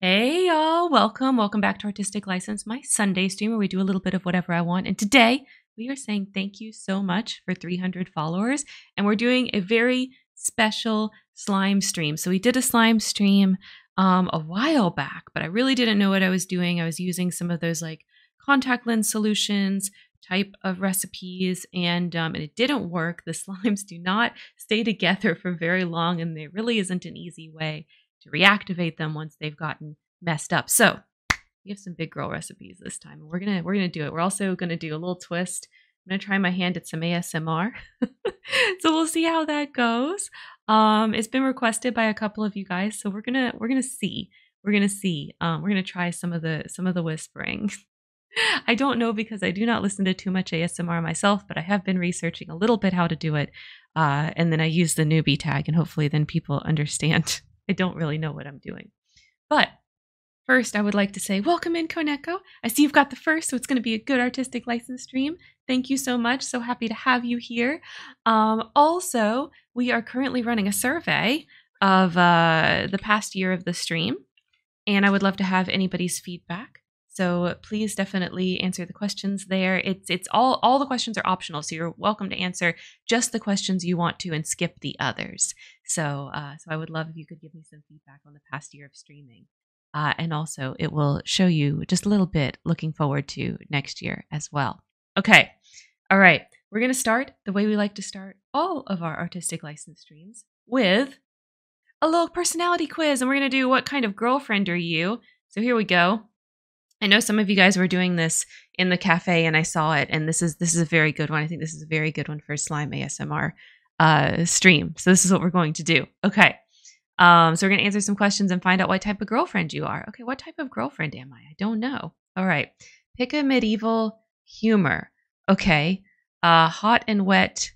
Hey y'all, welcome. Welcome back to Artistic License, my Sunday stream where we do a little bit of whatever I want. And today we are saying thank you so much for 300 followers. And we're doing a very special slime stream. So we did a slime stream um, a while back, but I really didn't know what I was doing. I was using some of those like contact lens solutions type of recipes, and, um, and it didn't work. The slimes do not stay together for very long, and there really isn't an easy way to reactivate them once they've gotten messed up. So we have some big girl recipes this time, we're gonna we're gonna do it. We're also gonna do a little twist. I'm gonna try my hand at some ASMR, so we'll see how that goes. Um, it's been requested by a couple of you guys, so we're gonna we're gonna see we're gonna see. Um, we're gonna try some of the some of the whispering. I don't know because I do not listen to too much ASMR myself, but I have been researching a little bit how to do it. Uh, and then I use the newbie tag, and hopefully, then people understand. I don't really know what I'm doing. But first, I would like to say, Welcome in, Coneco. I see you've got the first, so it's going to be a good artistic license stream. Thank you so much. So happy to have you here. Um, also, we are currently running a survey of uh, the past year of the stream. And I would love to have anybody's feedback. So please definitely answer the questions there. It's it's all all the questions are optional, so you're welcome to answer just the questions you want to and skip the others. So uh, so I would love if you could give me some feedback on the past year of streaming, uh, and also it will show you just a little bit looking forward to next year as well. Okay, all right, we're gonna start the way we like to start all of our artistic license streams with a little personality quiz. And we're going to do what kind of girlfriend are you? So here we go. I know some of you guys were doing this in the cafe and I saw it. And this is this is a very good one. I think this is a very good one for slime ASMR uh, stream. So this is what we're going to do. Okay. Um, so we're going to answer some questions and find out what type of girlfriend you are. Okay, what type of girlfriend am I? I don't know. All right. Pick a medieval humor. Okay. Uh, hot and wet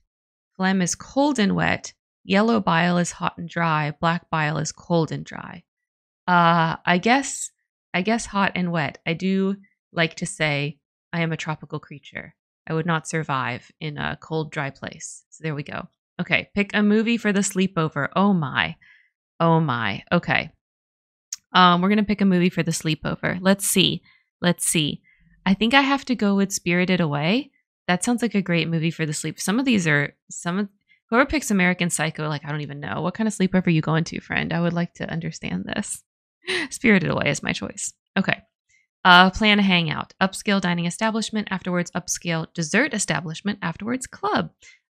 Phlegm is cold and wet. Yellow bile is hot and dry. Black bile is cold and dry. Uh, I guess, I guess hot and wet. I do like to say I am a tropical creature. I would not survive in a cold, dry place. So there we go. Okay, pick a movie for the sleepover. Oh my. Oh my. Okay. Um, we're going to pick a movie for the sleepover. Let's see. Let's see. I think I have to go with Spirited Away. That sounds like a great movie for the sleep. Some of these are some of whoever picks American Psycho, like I don't even know. What kind of sleepover you are going to, friend? I would like to understand this. Spirited Away is my choice. Okay. Uh, plan a hangout, upscale dining establishment, afterwards upscale dessert establishment, afterwards club.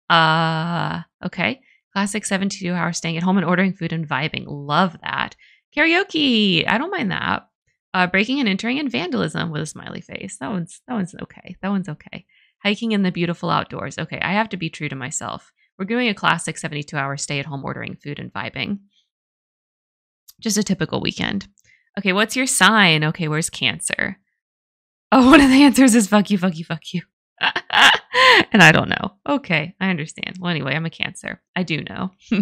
Uh, okay. Classic 72 hour staying at home and ordering food and vibing. Love that. Karaoke, I don't mind that. Uh, breaking and entering and vandalism with a smiley face. That one's that one's okay. That one's okay. Hiking in the beautiful outdoors. Okay, I have to be true to myself. We're doing a classic 72 hour stay at home ordering food and vibing. Just a typical weekend. Okay, what's your sign? Okay, where's cancer? Oh, one of the answers is fuck you, fuck you, fuck you. and I don't know. Okay, I understand. Well, anyway, I'm a cancer. I do know.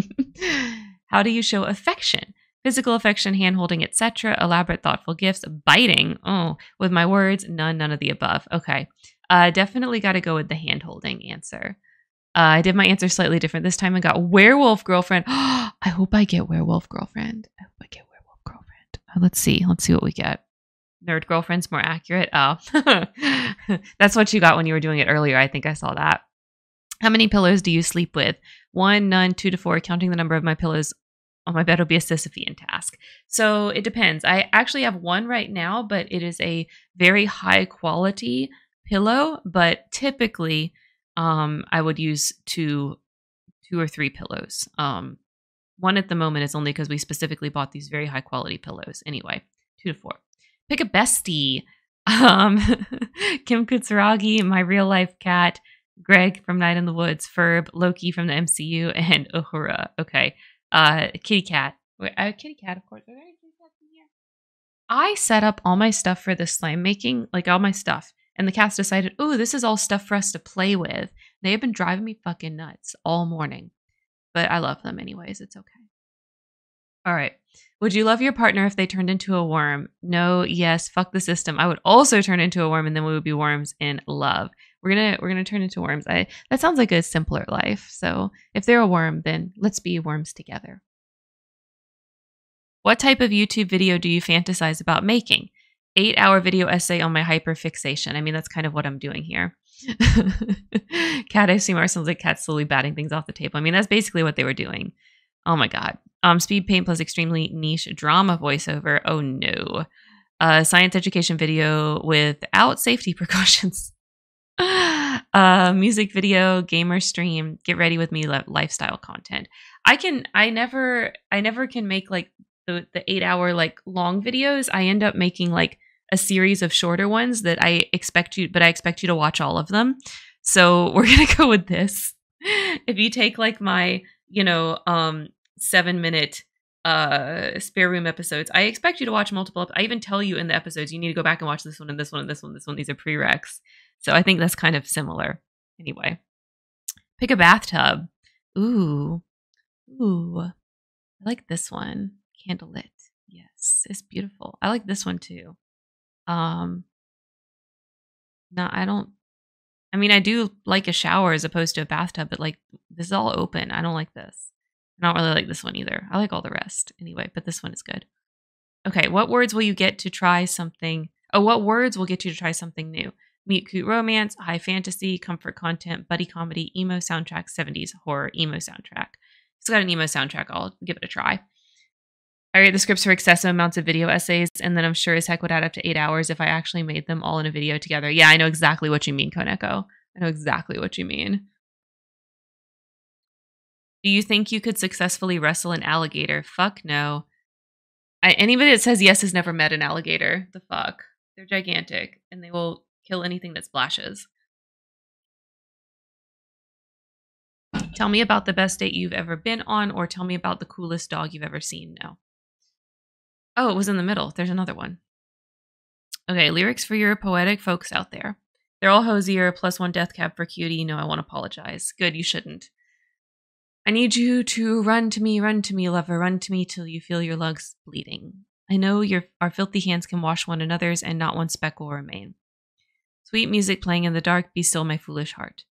How do you show affection? Physical affection, handholding, etc., elaborate, thoughtful gifts, biting. Oh, with my words, none, none of the above. Okay. Uh, definitely got to go with the handholding answer. Uh, I did my answer slightly different this time and got werewolf girlfriend. I hope I get werewolf girlfriend. I hope I get werewolf girlfriend. Uh, let's see. Let's see what we get. Nerd girlfriend's more accurate. Oh, that's what you got when you were doing it earlier. I think I saw that. How many pillows do you sleep with? One, none, two to four. Counting the number of my pillows on my bed will be a Sisyphean task. So it depends. I actually have one right now, but it is a very high quality pillow. But typically, um, I would use two, two or three pillows. Um, one at the moment is only because we specifically bought these very high quality pillows. Anyway, two to four. Pick a bestie um, Kim Kutsuragi, my real life cat, Greg from Night in the Woods, Ferb, Loki from the MCU, and Uhura. Okay. Uh, kitty cat. Wait, kitty cat, of course. I set up all my stuff for the slime making, like all my stuff. And the cats decided, oh, this is all stuff for us to play with. They have been driving me fucking nuts all morning. But I love them anyways. It's okay. All right. Would you love your partner if they turned into a worm? No, yes, fuck the system. I would also turn into a worm and then we would be worms in love. We're going to we're going to turn into worms. I that sounds like a simpler life. So, if they're a worm, then let's be worms together. What type of YouTube video do you fantasize about making? 8-hour video essay on my hyperfixation. I mean, that's kind of what I'm doing here. Cat I ASMR sounds like cat slowly batting things off the table. I mean, that's basically what they were doing. Oh my god. Um, speed paint plus extremely niche drama voiceover. Oh no. A science education video without safety precautions. uh, music video, gamer stream, get ready with me lifestyle content. I can, I never, I never can make like the eight hour like long videos. I end up making like a series of shorter ones that I expect you, but I expect you to watch all of them. So we're going to go with this. If you take like my, you know, um 7 minute uh spare room episodes, I expect you to watch multiple I even tell you in the episodes you need to go back and watch this one and this one and this one, this one. These are prereqs. So I think that's kind of similar. Anyway. Pick a bathtub. Ooh. Ooh. I like this one. Candle Candlelit. Yes, it's beautiful. I like this one too. Um, no, I don't. I mean, I do like a shower as opposed to a bathtub, but like this is all open. I don't like this. I don't really like this one either. I like all the rest anyway, but this one is good. Okay, what words will you get to try something? Oh, what words will get you to try something new? Meet cute romance, high fantasy, comfort content, buddy comedy, emo soundtrack, 70s horror, emo soundtrack. It's got an emo soundtrack. I'll give it a try. I write the scripts for excessive amounts of video essays, and then I'm sure as heck would add up to eight hours if I actually made them all in a video together. Yeah, I know exactly what you mean, Koneko. I know exactly what you mean. Do you think you could successfully wrestle an alligator? Fuck no. anybody that says yes has never met an alligator. The fuck? They're gigantic and they will kill anything that splashes. Tell me about the best date you've ever been on, or tell me about the coolest dog you've ever seen. No. Oh, it was in the middle. There's another one. Okay, lyrics for your poetic folks out there. They're all hosier, plus one death cab for cutie. No, I won't apologize. Good, you shouldn't. I need you to run to me, run to me, lover, run to me till you feel your lugs bleeding. I know your our filthy hands can wash one another's, and not one speck will remain. Sweet music playing in the dark, be my foolish heart.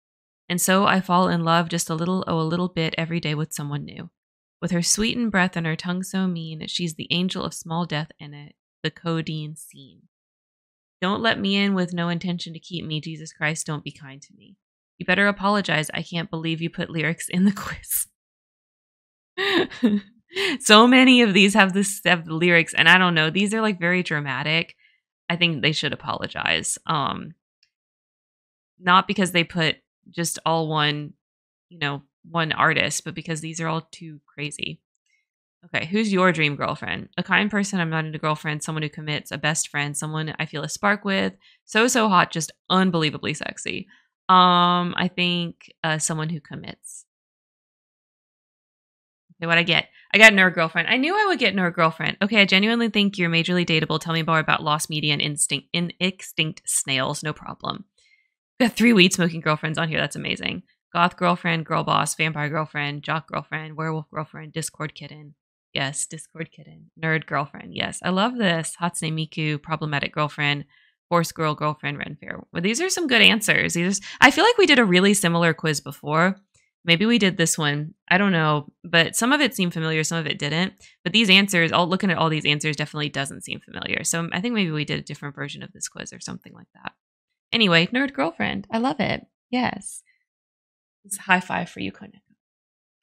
And so I fall in love just a little, oh, a little bit every day with someone new. With her sweetened breath and her tongue so mean, she's the angel of small death in it, the codeine scene. Don't let me in with no intention to keep me. Jesus Christ, don't be kind to me. You better apologize. I can't believe you put lyrics in the quiz. so many of these have the lyrics, and I don't know. These are like very dramatic. I think they should apologize. Um, not because they put just all one, you know, one artist, but because these are all too crazy. Okay, who's your dream girlfriend? A kind person I'm not into girlfriends. someone who commits, a best friend, someone I feel a spark with, so so hot, just unbelievably sexy. Um, I think uh, someone who commits what I get? I got Nerd Girlfriend. I knew I would get Nerd Girlfriend. Okay, I genuinely think you're majorly dateable. Tell me more about lost media and in extinct snails. No problem. got three weed smoking girlfriends on here. That's amazing. Goth girlfriend, girl boss, vampire girlfriend, jock girlfriend, werewolf girlfriend, Discord kitten. Yes, Discord kitten. Nerd girlfriend. Yes, I love this. Hatsune Miku, problematic girlfriend, Force girl girlfriend, Renfair. Well, these are some good answers. These I feel like we did a really similar quiz before. Maybe we did this one. I don't know. But some of it seemed familiar, some of it didn't. But these answers, all looking at all these answers definitely doesn't seem familiar. So I think maybe we did a different version of this quiz or something like that. Anyway, nerd girlfriend. I love it. Yes. It's high five for you, Koneko.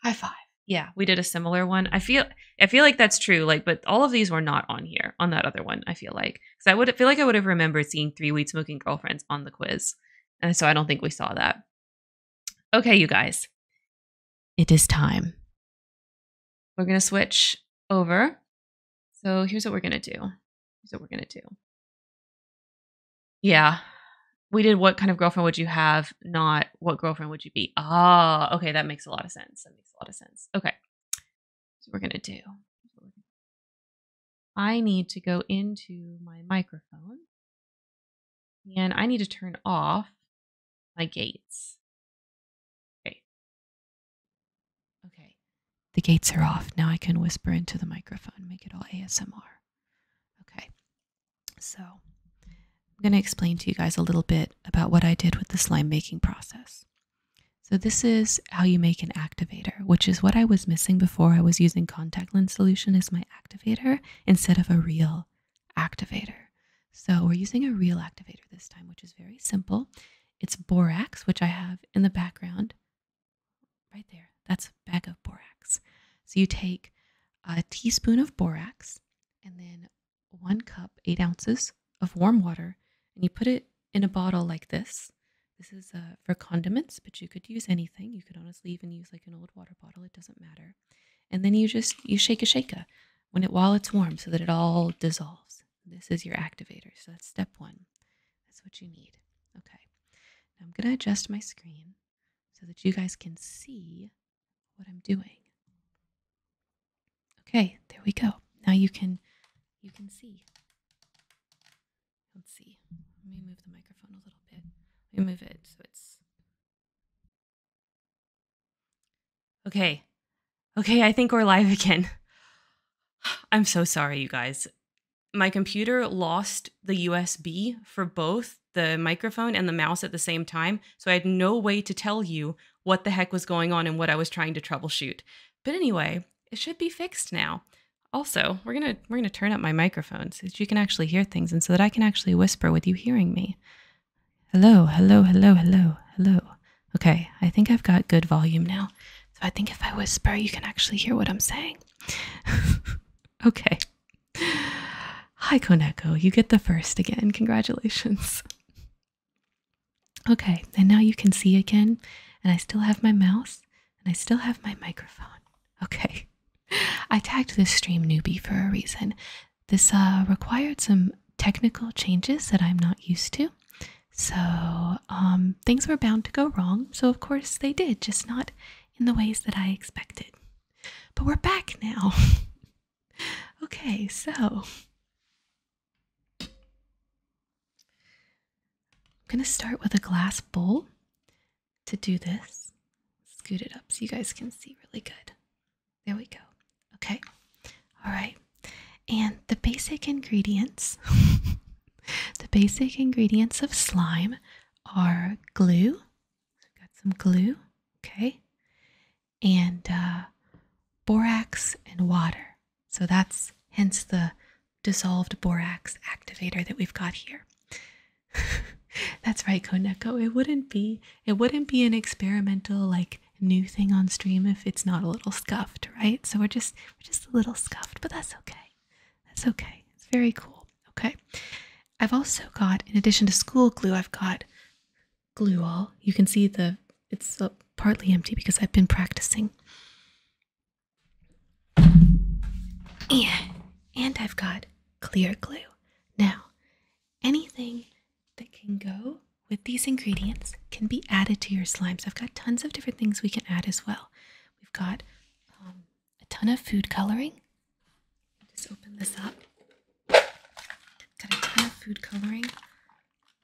High five. Yeah, we did a similar one. I feel I feel like that's true. Like, but all of these were not on here on that other one, I feel like because I would feel like I would have remembered seeing three weed smoking girlfriends on the quiz, and so I don't think we saw that. Okay, you guys, it is time. We're gonna switch over. So here's what we're gonna do. Here's what we're gonna do. Yeah, we did. What kind of girlfriend would you have? Not what girlfriend would you be? Ah, okay, that makes a lot of sense. That makes a lot of sense. Okay, so we're gonna do. I need to go into my microphone and I need to turn off my gates. Okay. Okay. The gates are off. Now I can whisper into the microphone, make it all ASMR. Okay. So I'm going to explain to you guys a little bit about what I did with the slime making process. So this is how you make an activator, which is what I was missing before. I was using contact lens solution as my activator instead of a real activator. So we're using a real activator this time, which is very simple. It's borax, which I have in the background right there. That's a bag of borax. So you take a teaspoon of borax and then one cup, eight ounces of warm water, and you put it in a bottle like this. This is uh, for condiments, but you could use anything. You could honestly even use like an old water bottle. It doesn't matter. And then you just you shake a shaker when it while it's warm so that it all dissolves. This is your activator. So that's step one. That's what you need. Okay. I'm gonna adjust my screen so that you guys can see what I'm doing. Okay, there we go. Now you can you can see. Let's see. Let me move the microphone a little bit. Let me move it so it's okay. Okay, I think we're live again. I'm so sorry, you guys. My computer lost the USB for both the microphone and the mouse at the same time, so I had no way to tell you what the heck was going on and what I was trying to troubleshoot. But anyway, it should be fixed now. Also, we're gonna we're gonna turn up my microphones so you can actually hear things and so that I can actually whisper with you hearing me. Hello, hello, hello, hello, hello. Okay, I think I've got good volume now. So I think if I whisper, you can actually hear what I'm saying. okay. Hi, Koneko. You get the first again. Congratulations. Okay, and now you can see again, and I still have my mouse, and I still have my microphone. Okay. I tagged this stream newbie for a reason. This uh, required some technical changes that I'm not used to. So um, things were bound to go wrong. So, of course, they did, just not in the ways that I expected. But we're back now. okay, so. I'm going to start with a glass bowl to do this. Scoot it up so you guys can see really good. There we go. Okay. All right. And the basic ingredients the basic ingredients of slime are glue. got some glue. Okay. And uh, borax and water. So that's hence the dissolved borax activator that we've got here. That's right, Koneko. It wouldn't be it wouldn't be an experimental like new thing on stream if it's not a little scuffed, right? So we're just we're just a little scuffed, but that's okay. That's okay. It's very cool. Okay. I've also got, in addition to school glue, I've got glue all. You can see the it's uh, partly empty because I've been practicing. And, I've got clear glue. Now, anything that can go with these ingredients can be added to your slimes. I've got tons of different things we can add as well. We've got um, a ton of food coloring. Just open this up. Got a ton of food coloring.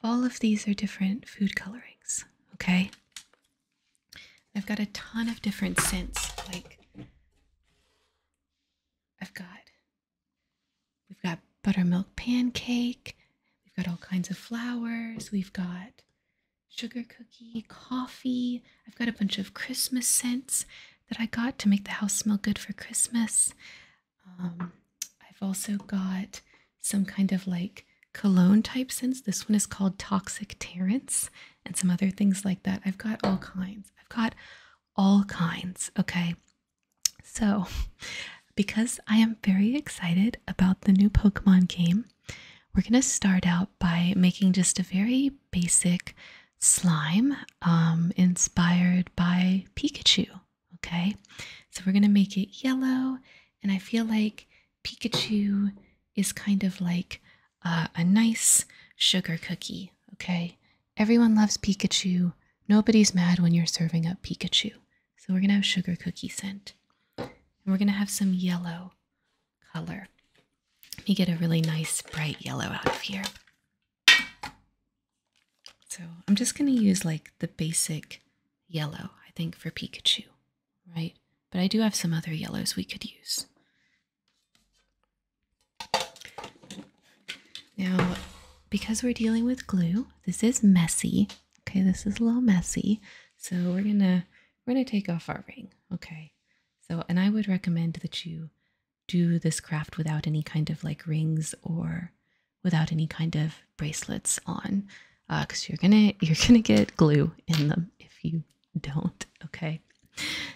All of these are different food colorings, okay? I've got a ton of different scents. Like I've got we've got buttermilk pancake, we've got all kinds of flowers, we've got sugar cookie, coffee. I've got a bunch of Christmas scents that I got to make the house smell good for Christmas. Um, I've also got some kind of like cologne type scents. This one is called Toxic Terrence and some other things like that. I've got all kinds. I've got all kinds, okay? So, because I am very excited about the new Pokemon game, we're going to start out by making just a very basic slime um, inspired by Pikachu, okay? So, we're going to make it yellow, and I feel like Pikachu is kind of like uh, a nice sugar cookie. Okay, everyone loves Pikachu. Nobody's mad when you're serving up Pikachu. So we're gonna have sugar cookie scent, and we're gonna have some yellow color. Let me get a really nice bright yellow out of here. So I'm just gonna use like the basic yellow, I think, for Pikachu, right? But I do have some other yellows we could use. Now, because we're dealing with glue, this is messy. Okay, this is a little messy. So we're gonna we're gonna take off our ring. Okay. So and I would recommend that you do this craft without any kind of like rings or without any kind of bracelets on because uh, you're gonna you're gonna get glue in them if you don't, okay?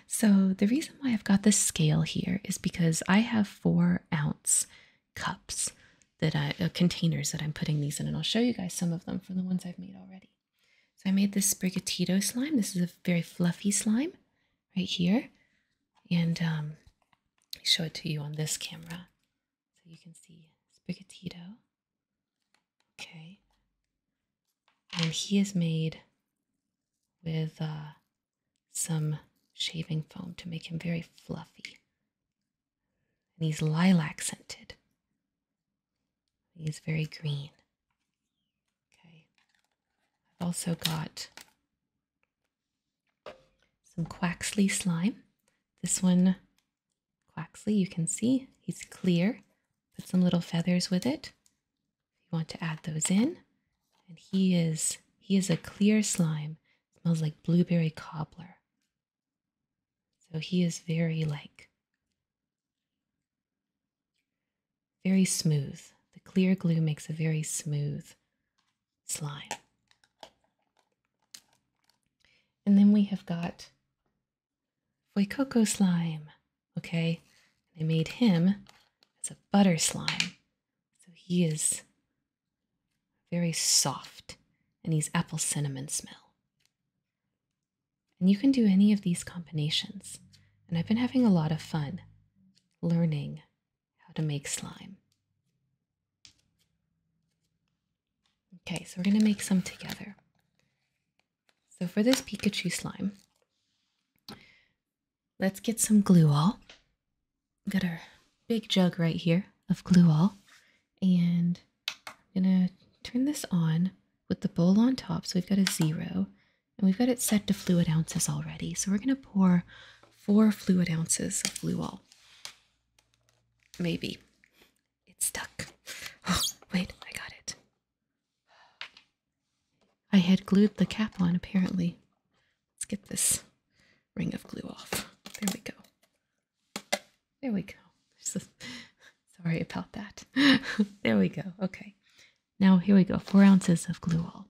So, the reason why I've got this scale here is because I have four ounce cups that I, uh, containers that I'm putting these in, and I'll show you guys some of them for the ones I've made already. So, I made this Sprigatito slime. This is a very fluffy slime right here. And um, show it to you on this camera so you can see Sprigatito. Okay. And he is made with uh, some shaving foam to make him very fluffy. And he's lilac scented. He's very green. Okay. I've also got some Quaxley slime. This one, Quaxley, you can see he's clear Put some little feathers with it. you want to add those in. And he is he is a clear slime. Smells like blueberry cobbler. So he is very like very smooth. The clear glue makes a very smooth slime. And then we have got Voikoko slime. Okay, I made him as a butter slime. So he is very soft and he's apple cinnamon smell. And you can do any of these combinations. And I've been having a lot of fun learning how to make slime. Okay, so we're going to make some together. So for this Pikachu slime, let's get some glue all. Got our big jug right here of glue all. And I'm gonna turn this on with the bowl on top. So we've got a zero and we've got it set to fluid ounces already. So we're gonna pour four fluid ounces of glue all. Maybe it's stuck. Oh, wait, I got it. I had glued the cap on, apparently. Let's get this ring of glue off. There we go. There we go. sorry about that. there we go. Okay. Now, here we go. Four ounces of glue all.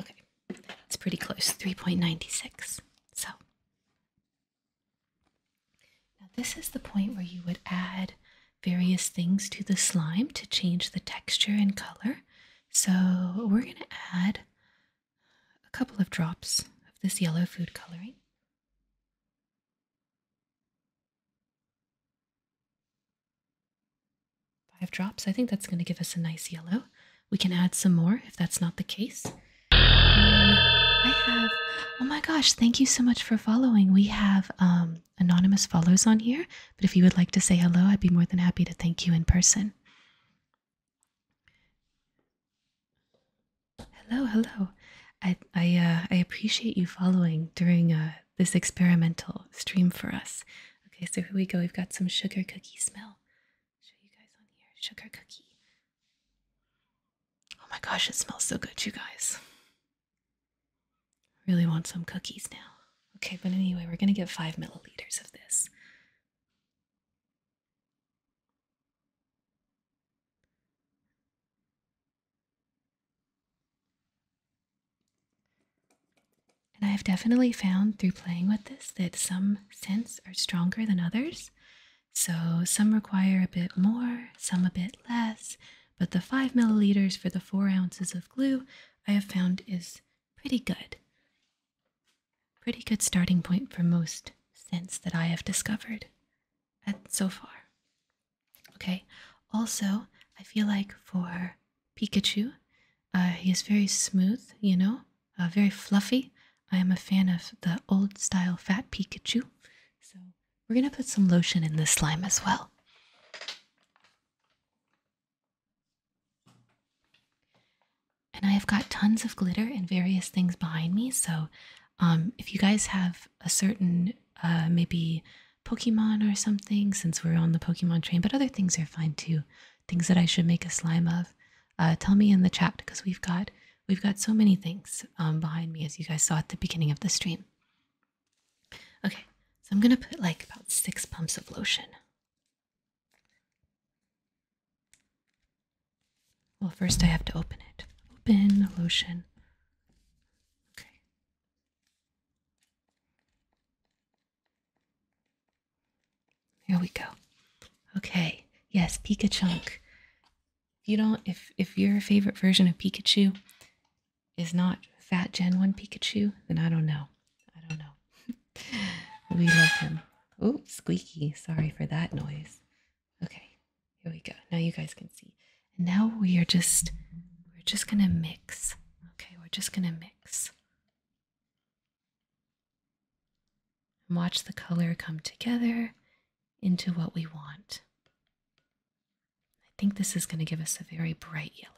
Okay, it's pretty close, 3.96. So now this is the point where you would add various things to the slime to change the texture and color. So we're going to add a couple of drops of this yellow food coloring. Five drops. I think that's going to give us a nice yellow. We can add some more if that's not the case. Um, I have, oh my gosh, thank you so much for following. We have um, anonymous follows on here, but if you would like to say hello, I'd be more than happy to thank you in person. Hello, hello. I I uh, I appreciate you following during uh, this experimental stream for us. Okay, so here we go. We've got some sugar cookie smell. Show you guys on here. Sugar cookie. Oh my gosh, it smells so good, you guys. I really want some cookies now. Okay, but anyway, we're gonna get five milliliters of this. And I have definitely found through playing with this that some scents are stronger than others. So some require a bit more, some a bit less, but the five milliliters for the four ounces of glue I have found is pretty good. Pretty good starting point for most scents that I have discovered at so far. Okay, also, I feel like for Pikachu, uh, he is very smooth, you know, uh, very fluffy. I am a fan of the old style fat Pikachu, so we're gonna put some lotion in this slime as well. And I have got tons of glitter and various things behind me. So um, if you guys have a certain, uh, maybe Pokemon or something, since we're on the Pokemon train, but other things are fine too. Things that I should make a slime of. Uh, tell me in the chat because we've got we've got so many things um, behind me as you guys saw at the beginning of the stream. Okay, so I'm gonna put like about six pumps of lotion well, first I have to open it. Open lotion. Okay. Here we go. Okay. Yes, Pikachu. If you don't if if your favorite version of Pikachu is not Fat Gen 1 Pikachu, then I don't know. I don't know. we love him. Oh, squeaky. Sorry for that noise. Okay, here we go. Now you guys can see. And now we are just we're just gonna mix. Okay, we're just gonna mix. And watch the color come together into what we want. I think this is gonna give us a very bright yellow.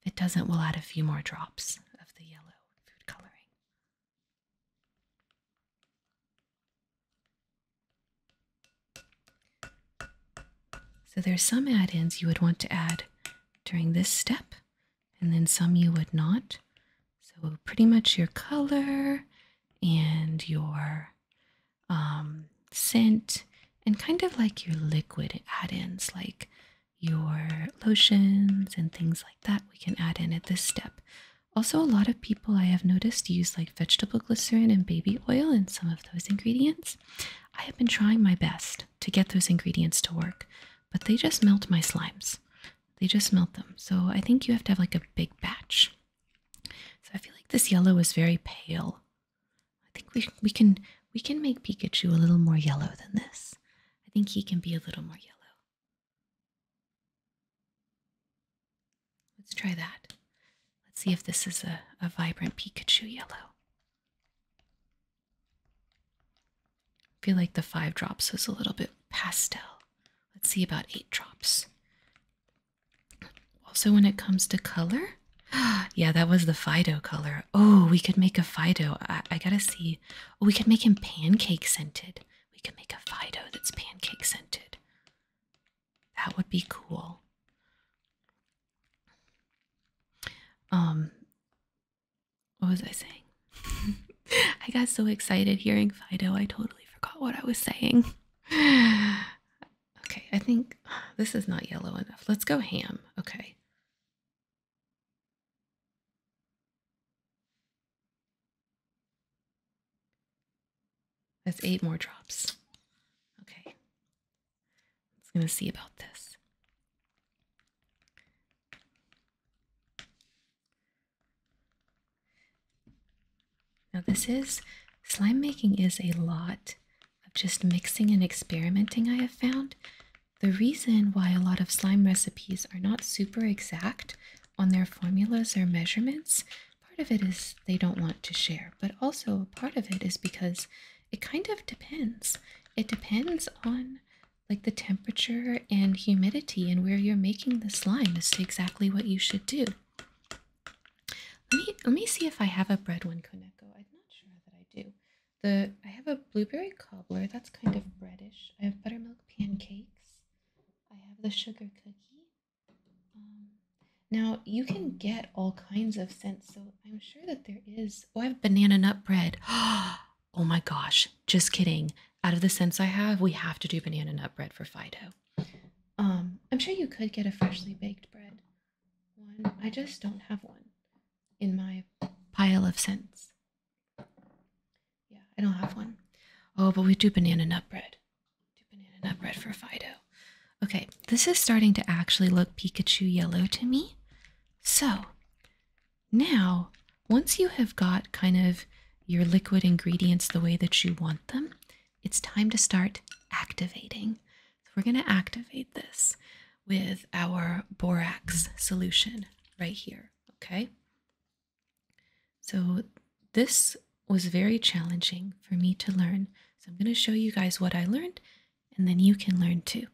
If it doesn't, we'll add a few more drops of the yellow food coloring. So there's some add-ins you would want to add during this step, and then some you would not. So pretty much your color and your um, scent and kind of like your liquid add-ins like your lotions and things like that we can add in at this step. Also, a lot of people I have noticed use like vegetable glycerin and baby oil and some of those ingredients. I have been trying my best to get those ingredients to work, but they just melt my slimes. They just melt them. So I think you have to have like a big batch. So I feel like this yellow is very pale. I think we we can we can make Pikachu a little more yellow than this. I think he can be a little more yellow. Let's try that. Let's see if this is a, a vibrant Pikachu yellow. I feel like the five drops was a little bit pastel. Let's see about eight drops. Also, when it comes to color, yeah, that was the Fido color. Oh, we could make a Fido. I, I gotta see we could make him pancake scented. We could make a Fido that's pancake scented. That would be cool. Um, what was I saying? I got so excited hearing Fido, I totally forgot what I was saying. okay, I think this is not yellow enough. Let's go ham. Okay. That's eight more drops. Okay. let's to see about this. Now, this is slime making is a lot of just mixing and experimenting, I have found. The reason why a lot of slime recipes are not super exact on their formulas or measurements, part of it is they don't want to share, but also part of it is because it kind of depends. It depends on like the temperature and humidity and where you're making the slime as to exactly what you should do. Let me let me see if I have a bread one, Koneko. I'm not sure that I do. The I have a blueberry cobbler that's kind of breadish. I have buttermilk pancakes. I have the sugar cookie. Um, now you can get all kinds of scents, so I'm sure that there is. Oh, I have banana nut bread. oh my gosh, just kidding. Out of the scents I have, we have to do banana nut bread for Fido. Um, I'm sure you could get a freshly baked bread one. I just don't have one in my pile of scents. Yeah, I don't have one. Oh, but we do banana nut bread. Do banana nut bread for Fido. Okay, this is starting to actually look Pikachu yellow to me. So now, once you have got kind of your liquid ingredients the way that you want them, it's time to start activating. So we're going to activate this with our borax solution right here. Okay, so, this was very challenging for me to learn. So, I'm going to show you guys what I learned, and then you can learn too.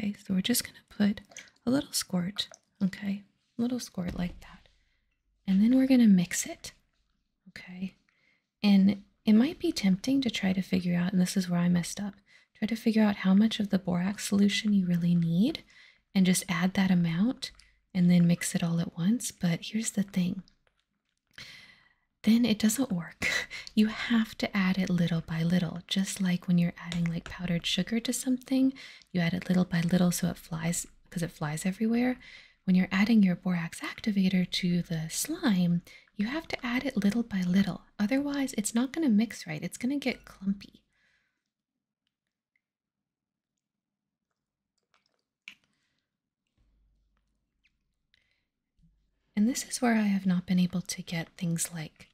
Okay, so we're just going to put a little squirt, okay, a little squirt like that. And then we're going to mix it, okay? And it might be tempting to try to figure out, and this is where I messed up, try to figure out how much of the borax solution you really need and just add that amount and then mix it all at once. But here's the thing then it doesn't work. You have to add it little by little, just like when you're adding like powdered sugar to something, you add it little by little so it flies because it flies everywhere. When you're adding your borax activator to the slime, you have to add it little by little. Otherwise, it's not going to mix right. It's going to get clumpy. And this is where I have not been able to get things like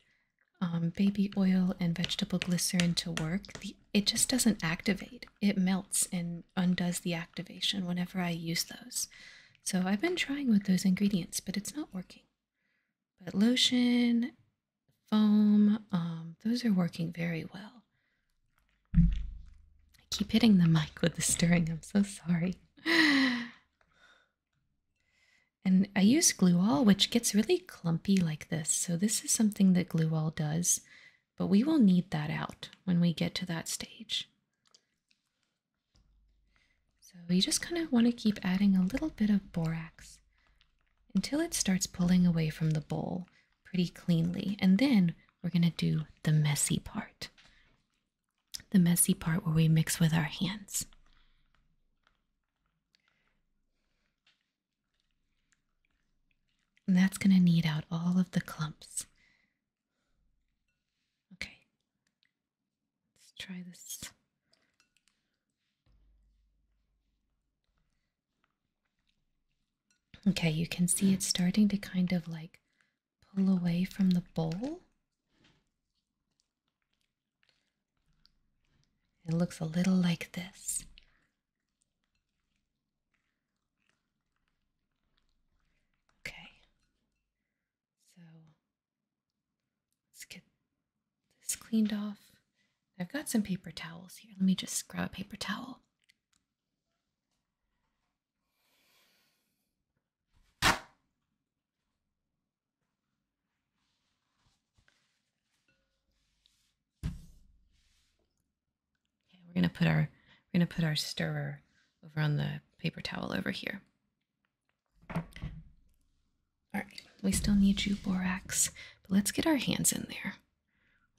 um, baby oil and vegetable glycerin to work. it just doesn't activate. It melts and undoes the activation whenever I use those. So I've been trying with those ingredients, but it's not working. But lotion, foam, um, those are working very well. I keep hitting the mic with the stirring. I'm so sorry. And I use glue all, which gets really clumpy like this. So this is something that glue all does, but we will need that out when we get to that stage. So you just kind of want to keep adding a little bit of borax until it starts pulling away from the bowl pretty cleanly. And then we're going to do the messy part. The messy part where we mix with our hands. And that's going to knead out all of the clumps. Okay. Let's try this. Okay, you can see it's starting to kind of like pull away from the bowl. It looks a little like this. Okay, so let's get this cleaned off. I've got some paper towels here. Let me just grab a paper towel. Okay, we're gonna put our we're gonna put our stirrer over on the paper towel over here. All right, we still need you, borax, but let's get our hands in there.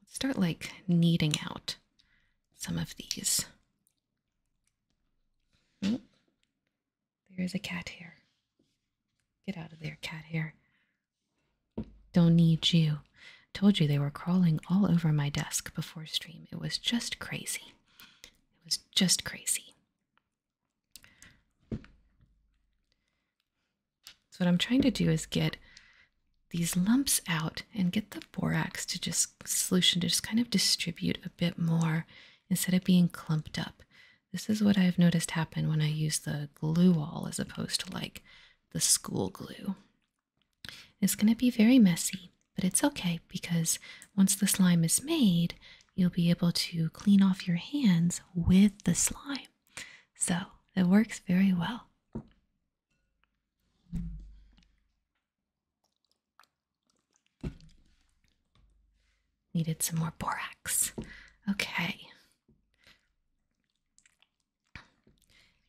Let's start like kneading out some of these. there is a cat here. Get out of there, cat here! Don't need you. Told you they were crawling all over my desk before stream. It was just crazy. It was just crazy. So what I'm trying to do is get these lumps out and get the borax to just solution to just kind of distribute a bit more instead of being clumped up. This is what I've noticed happen when I use the glue all as opposed to like the school glue. It's going to be very messy, but it's okay because once the slime is made, you'll be able to clean off your hands with the slime. So it works very well. Needed some more borax. Okay.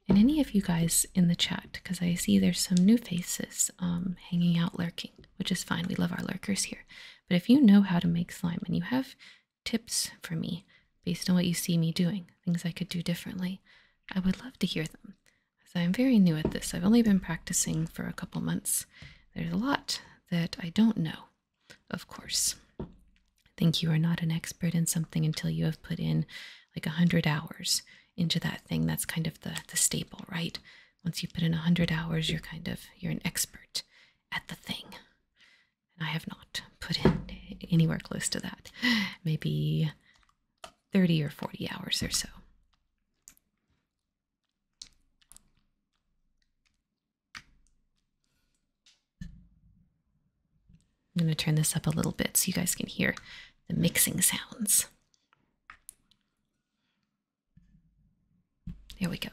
And any of you guys in the chat, because I see there's some new faces um, hanging out lurking, which is fine. We love our lurkers here. But if you know how to make slime and you have tips for me based on what you see me doing, things I could do differently. I would love to hear them, as I'm very new at this. I've only been practicing for a couple months. There's a lot that I don't know, of course. I think you are not an expert in something until you have put in like a hundred hours into that thing. That's kind of the the staple, right? Once you put in a hundred hours, you're kind of you're an expert at the thing and I have not put in anywhere close to that. Maybe 30 or 40 hours or so. I'm going to turn this up a little bit so you guys can hear the mixing sounds. There we go.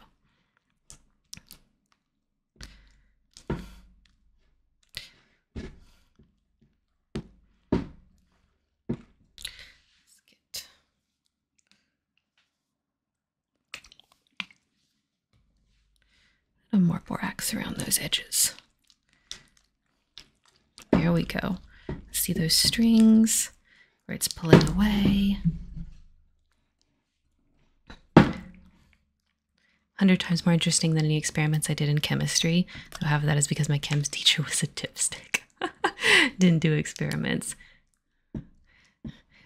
Let's get a little more borax around those edges. There we go. See those strings where it's pulling away. 100 times more interesting than any experiments I did in chemistry, though half of that is because my chems teacher was a dipstick. Didn't do experiments.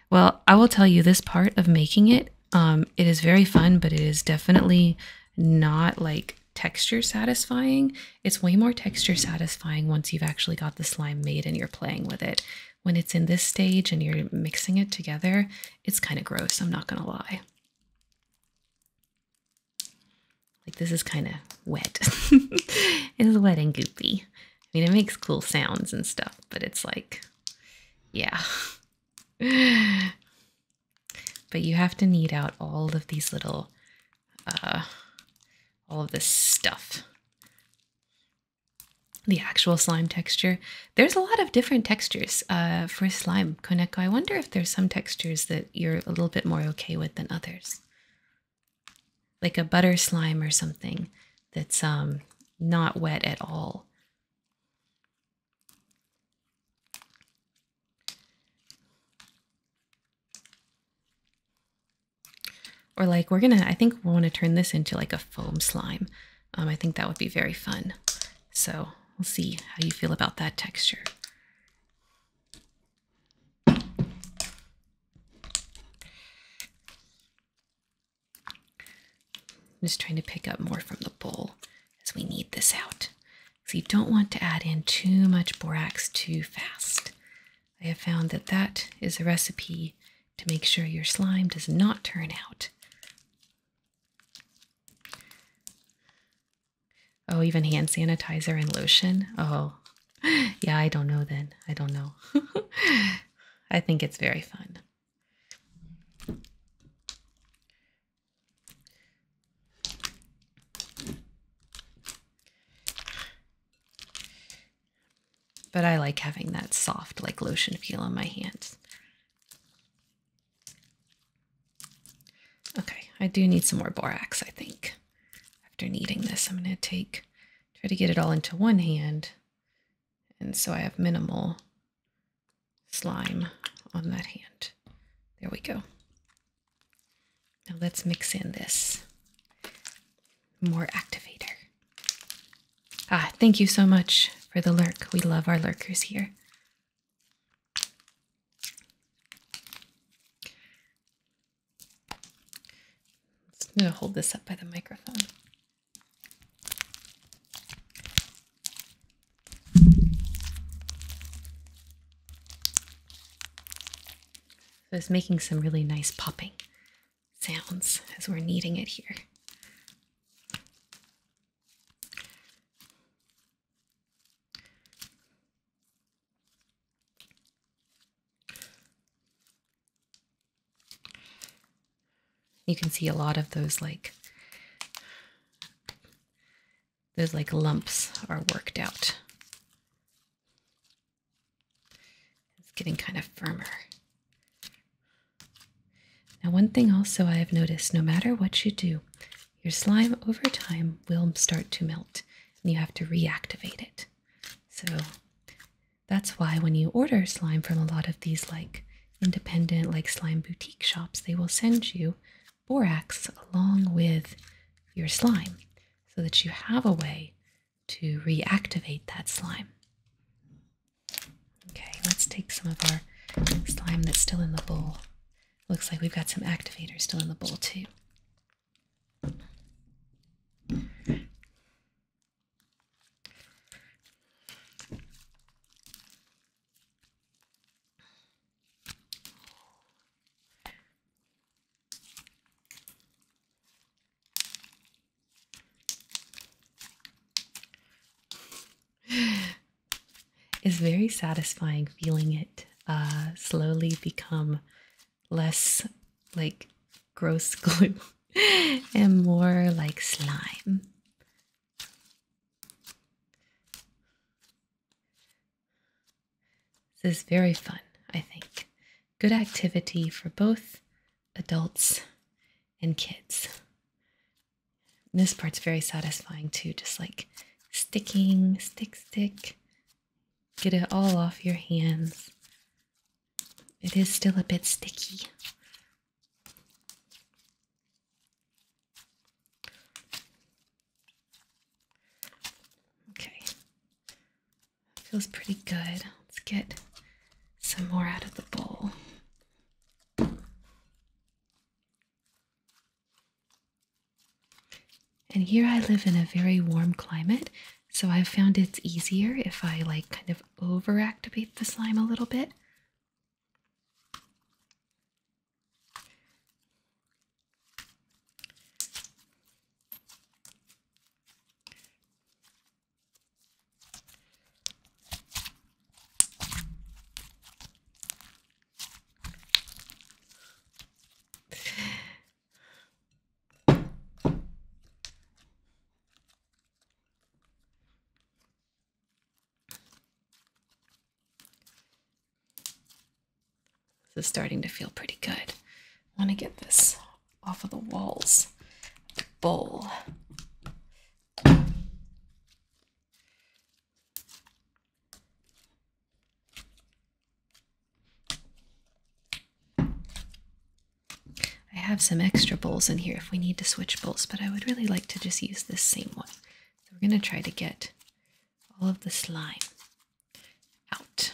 Well, I will tell you this part of making it, um, it is very fun, but it is definitely not like texture satisfying. It's way more texture satisfying once you've actually got the slime made and you're playing with it. When it's in this stage and you're mixing it together, it's kind of gross, I'm not going to lie. Like, this is kind of wet. it's wet and goopy. I mean, it makes cool sounds and stuff, but it's like, yeah. but you have to knead out all of these little, uh, all of this stuff the actual slime texture. There's a lot of different textures uh, for slime, Koneko. I wonder if there's some textures that you're a little bit more okay with than others. Like a butter slime or something that's um, not wet at all. Or like we're gonna, I think we we'll want to turn this into like a foam slime. Um, I think that would be very fun. So we'll see how you feel about that texture. just trying to pick up more from the bowl as we knead this out. So you don't want to add in too much borax too fast. I have found that that is a recipe to make sure your slime does not turn out. Oh, even hand sanitizer and lotion? Oh, yeah, I don't know then. I don't know. I think it's very fun. But I like having that soft, like lotion feel on my hands. Okay, I do need some more borax, I think. After kneading this, I'm going to take, try to get it all into one hand. And so I have minimal slime on that hand. There we go. Now let's mix in this more activator. Ah, thank you so much for the lurk. We love our lurkers here. I'm going to hold this up by the microphone. So it's making some really nice popping sounds as we're kneading it here. You can see a lot of those like those like lumps are worked out. It's getting kind of firmer. Now, one thing also I have noticed no matter what you do, your slime over time will start to melt and you have to reactivate it. So that's why when you order slime from a lot of these like independent like slime boutique shops, they will send you borax along with your slime so that you have a way to reactivate that slime. Okay, let's take some of our slime that's still in the bowl. Looks like we've got some activator still in the bowl, too. It's very satisfying feeling it uh, slowly become less like gross glue and more like slime. This is very fun, I think. Good activity for both adults and kids this part's very satisfying too, just like sticking, stick, stick, get it all off your hands. It is still a bit sticky. Okay, feels pretty good. Let's get some more out of the bowl. And here I live in a very warm climate, so I've found it's easier if I like kind of overactivate the slime a little bit. This is starting to feel pretty good. I want to get this off of the walls. The bowl. I have some extra bowls in here if we need to switch bowls, but I would really like to just use this same one. So we're going to try to get all of the slime out.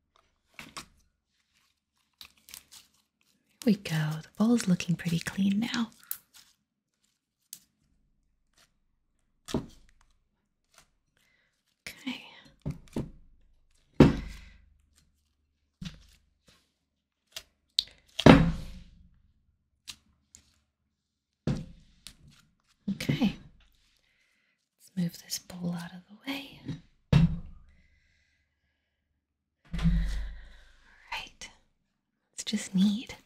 There we go. The bowl's looking pretty clean now. Okay. Okay. Let's move this bowl out of the way. Alright, let's just knead.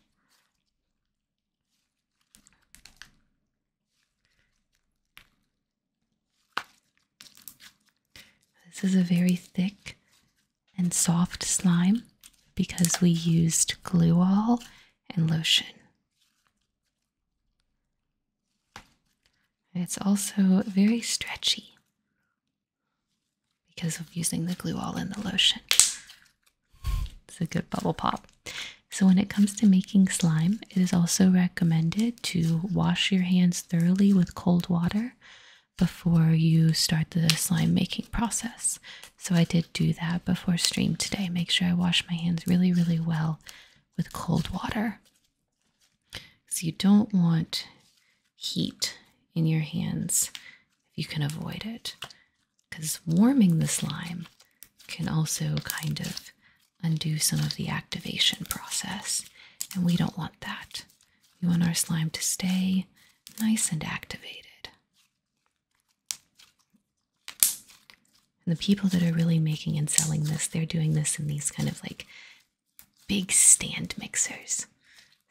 This is a very thick and soft slime because we used glue all and lotion it's also very stretchy because of using the glue all in the lotion. It's a good bubble pop. So, when it comes to making slime, it is also recommended to wash your hands thoroughly with cold water before you start the slime making process. So, I did do that before stream today. Make sure I wash my hands really, really well with cold water so you don't want heat in your hands if you can avoid it, because warming the slime can also kind of undo some of the activation process, and we don't want that. We want our slime to stay nice and activated. And the people that are really making and selling this, they're doing this in these kind of like big stand mixers.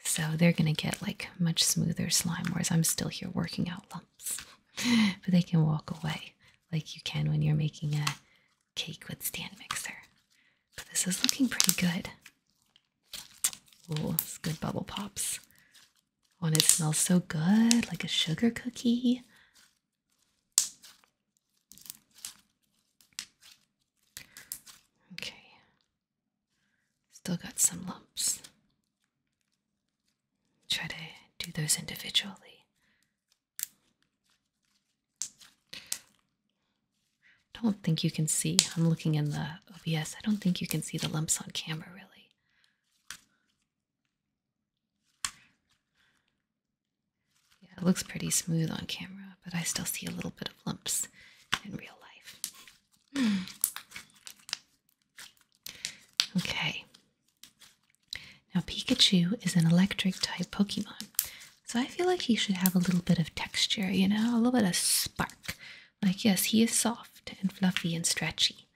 So they're going to get like much smoother slime, whereas I'm still here working out lumps. But they can walk away like you can when you're making a cake with stand mixer. But this is looking pretty good. Oh, it's good bubble pops. Oh, and it smells so good, like a sugar cookie. Okay. Still got some lumps. Try to do those individually. I don't think you can see. I'm looking in the OBS. I don't think you can see the lumps on camera, really. Yeah, it looks pretty smooth on camera, but I still see a little bit of lumps in real life. Hmm. okay. Now, Pikachu is an electric type Pokemon, so I feel like he should have a little bit of texture, you know, a little bit of spark. Like, yes, he is soft and fluffy and stretchy,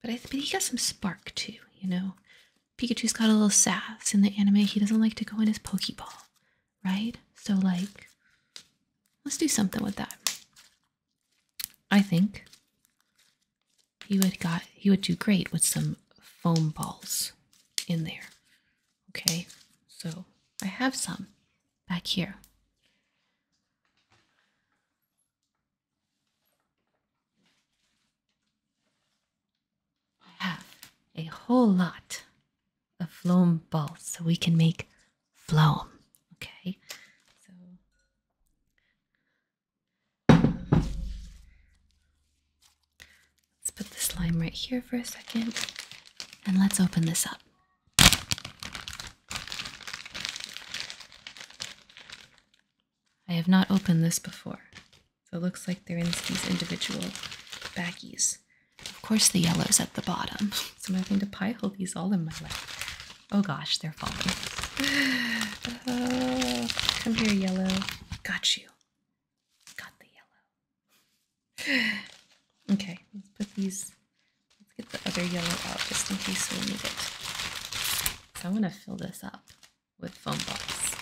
but, I but he got some spark too, you know? Pikachu's got a little sass in the anime. He doesn't like to go in his Pokeball, right? So, like, let's do something with that. I think he would got he would do great with some foam balls in there. Okay, so I have some back here. I have a whole lot of floam balls so we can make floam. Okay, so let's put this lime right here for a second and let's open this up. I have not opened this before. So it looks like they're in these individual baggies. Of course, the yellow's at the bottom. So I'm having to pile these all in my lap. Oh gosh, they're falling. Oh, come here, yellow. Got you. Got the yellow. Okay, let's put these. Let's get the other yellow out just in case we need it. So I want to fill this up with foam balls.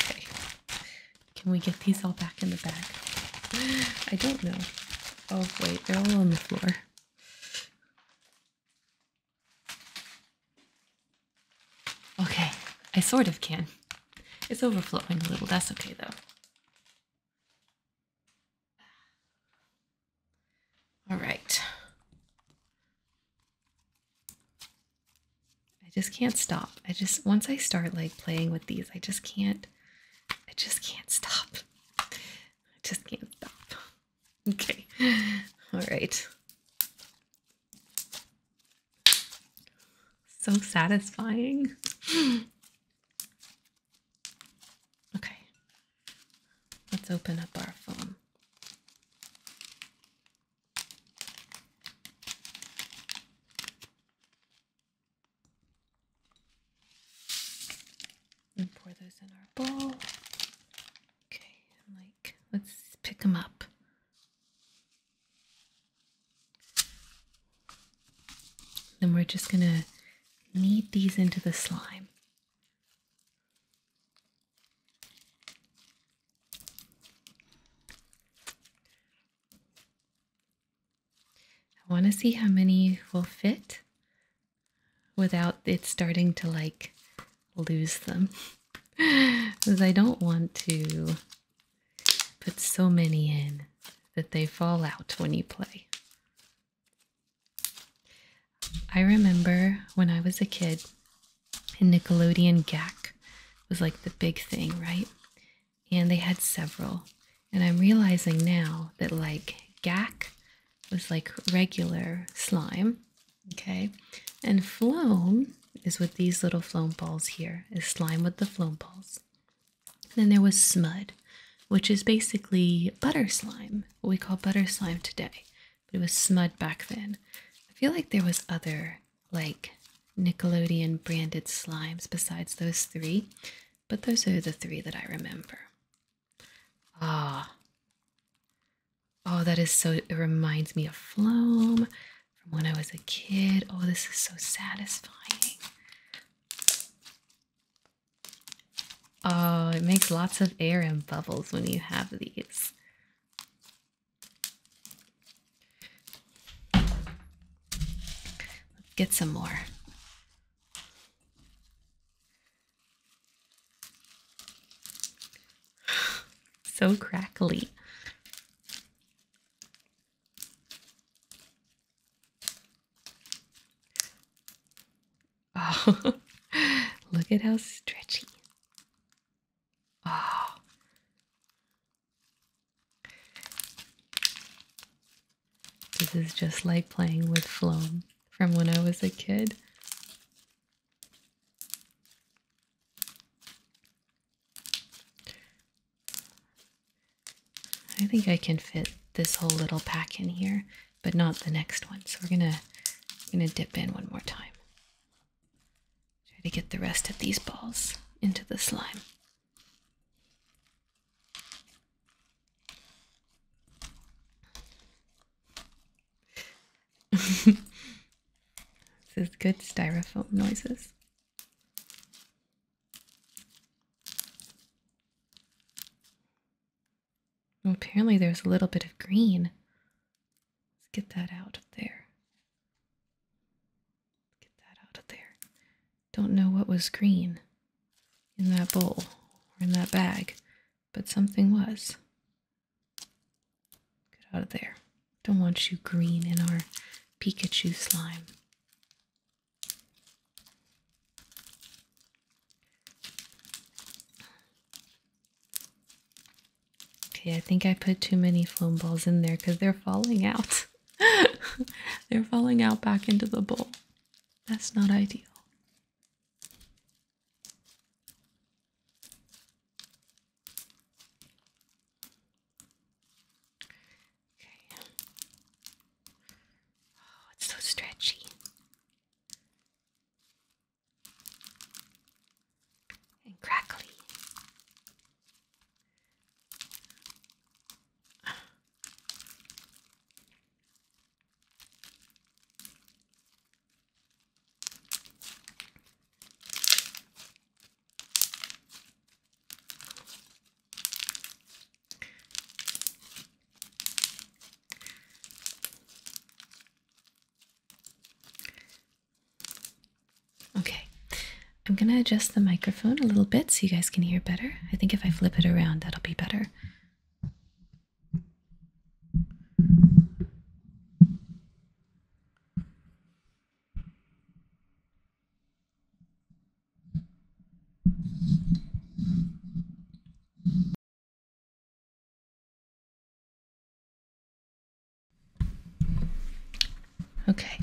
Okay. Can we get these all back in the bag? I don't know. Oh, wait, they're all on the floor. Okay, I sort of can. It's overflowing a little. That's okay, though. All right. I just can't stop. I just, once I start like playing with these, I just can't, I just can't stop. I just can't stop. Okay. All right. So satisfying. Okay, let's open up our phone. And pour those in our bowl. Okay, like, let's pick them up. Then we're just going to knead these into the slime. I want to see how many will fit without it starting to like lose them. Because I don't want to put so many in that they fall out when you play. I remember when I was a kid and Nickelodeon Gak was like the big thing, right? And they had several. And I'm realizing now that like Gak was like regular slime, okay? And Floam is with these little Floam balls here, is slime with the Floam balls. Then there was Smud, which is basically butter slime, what we call butter slime today, but it was Smud back then. I feel like there was other like Nickelodeon branded slimes besides those three, but those are the three that I remember. Ah. Oh, that is so it reminds me of Floam from when I was a kid. Oh, this is so satisfying. Oh, it makes lots of air and bubbles when you have these. get some more. so crackly. Oh, look at how stretchy. Oh. This is just like playing with flom from when I was a kid. I think I can fit this whole little pack in here, but not the next one. So we're gonna gonna dip in one more time. Try to get the rest of these balls into the slime. this is good styrofoam noises. Well, apparently, there's a little bit of green. Let's get that out of there. Get that out of there. Don't know what was green in that bowl or in that bag, but something was. Get out of there. Don't want you green in our Pikachu slime. Okay, I think I put too many foam balls in there because they're falling out. they're falling out back into the bowl. That's not ideal. Okay. Oh, it's so stretchy and crackly. Okay, I'm gonna adjust the microphone a little bit so you guys can hear better. I think if I flip it around, that'll be better. Okay.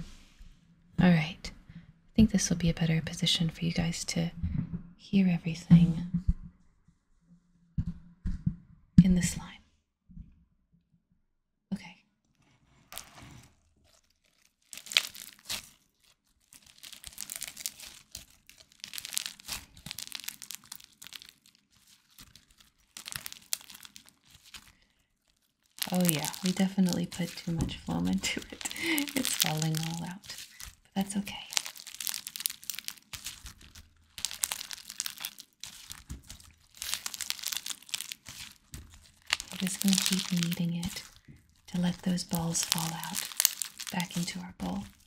All right. I think this will be a better position for you guys to hear everything in this line. Okay. Oh yeah, we definitely put too much foam into it. It's falling all out, but that's okay. We're just going to keep kneading it to let those balls fall out back into our bowl.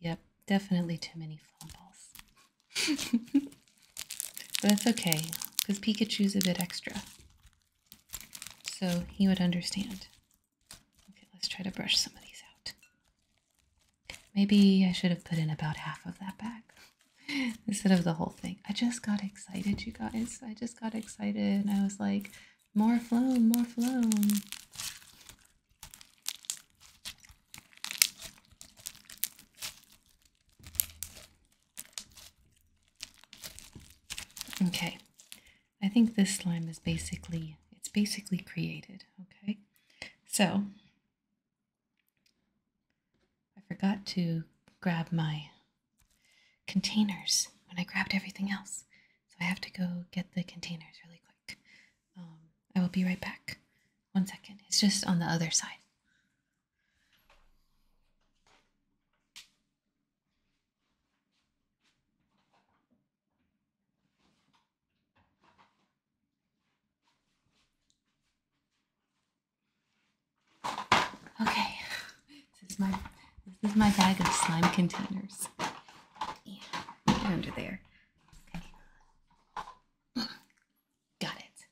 Yep, definitely too many fumbles. but that's okay, because Pikachu's a bit extra. So he would understand. Okay, let's try to brush some of these out. Maybe I should have put in about half of that back instead of the whole thing. I just got excited, you guys. I just got excited and I was like, more phloem, more phloem. Okay, I think this slime is basically, it's basically created, okay? So, I forgot to grab my containers when I grabbed everything else. So I have to go get the containers really quick. Um, I will be right back. One second. It's just on the other side. Okay, this is my this is my bag of slime containers. Yeah, under there. Okay, got it.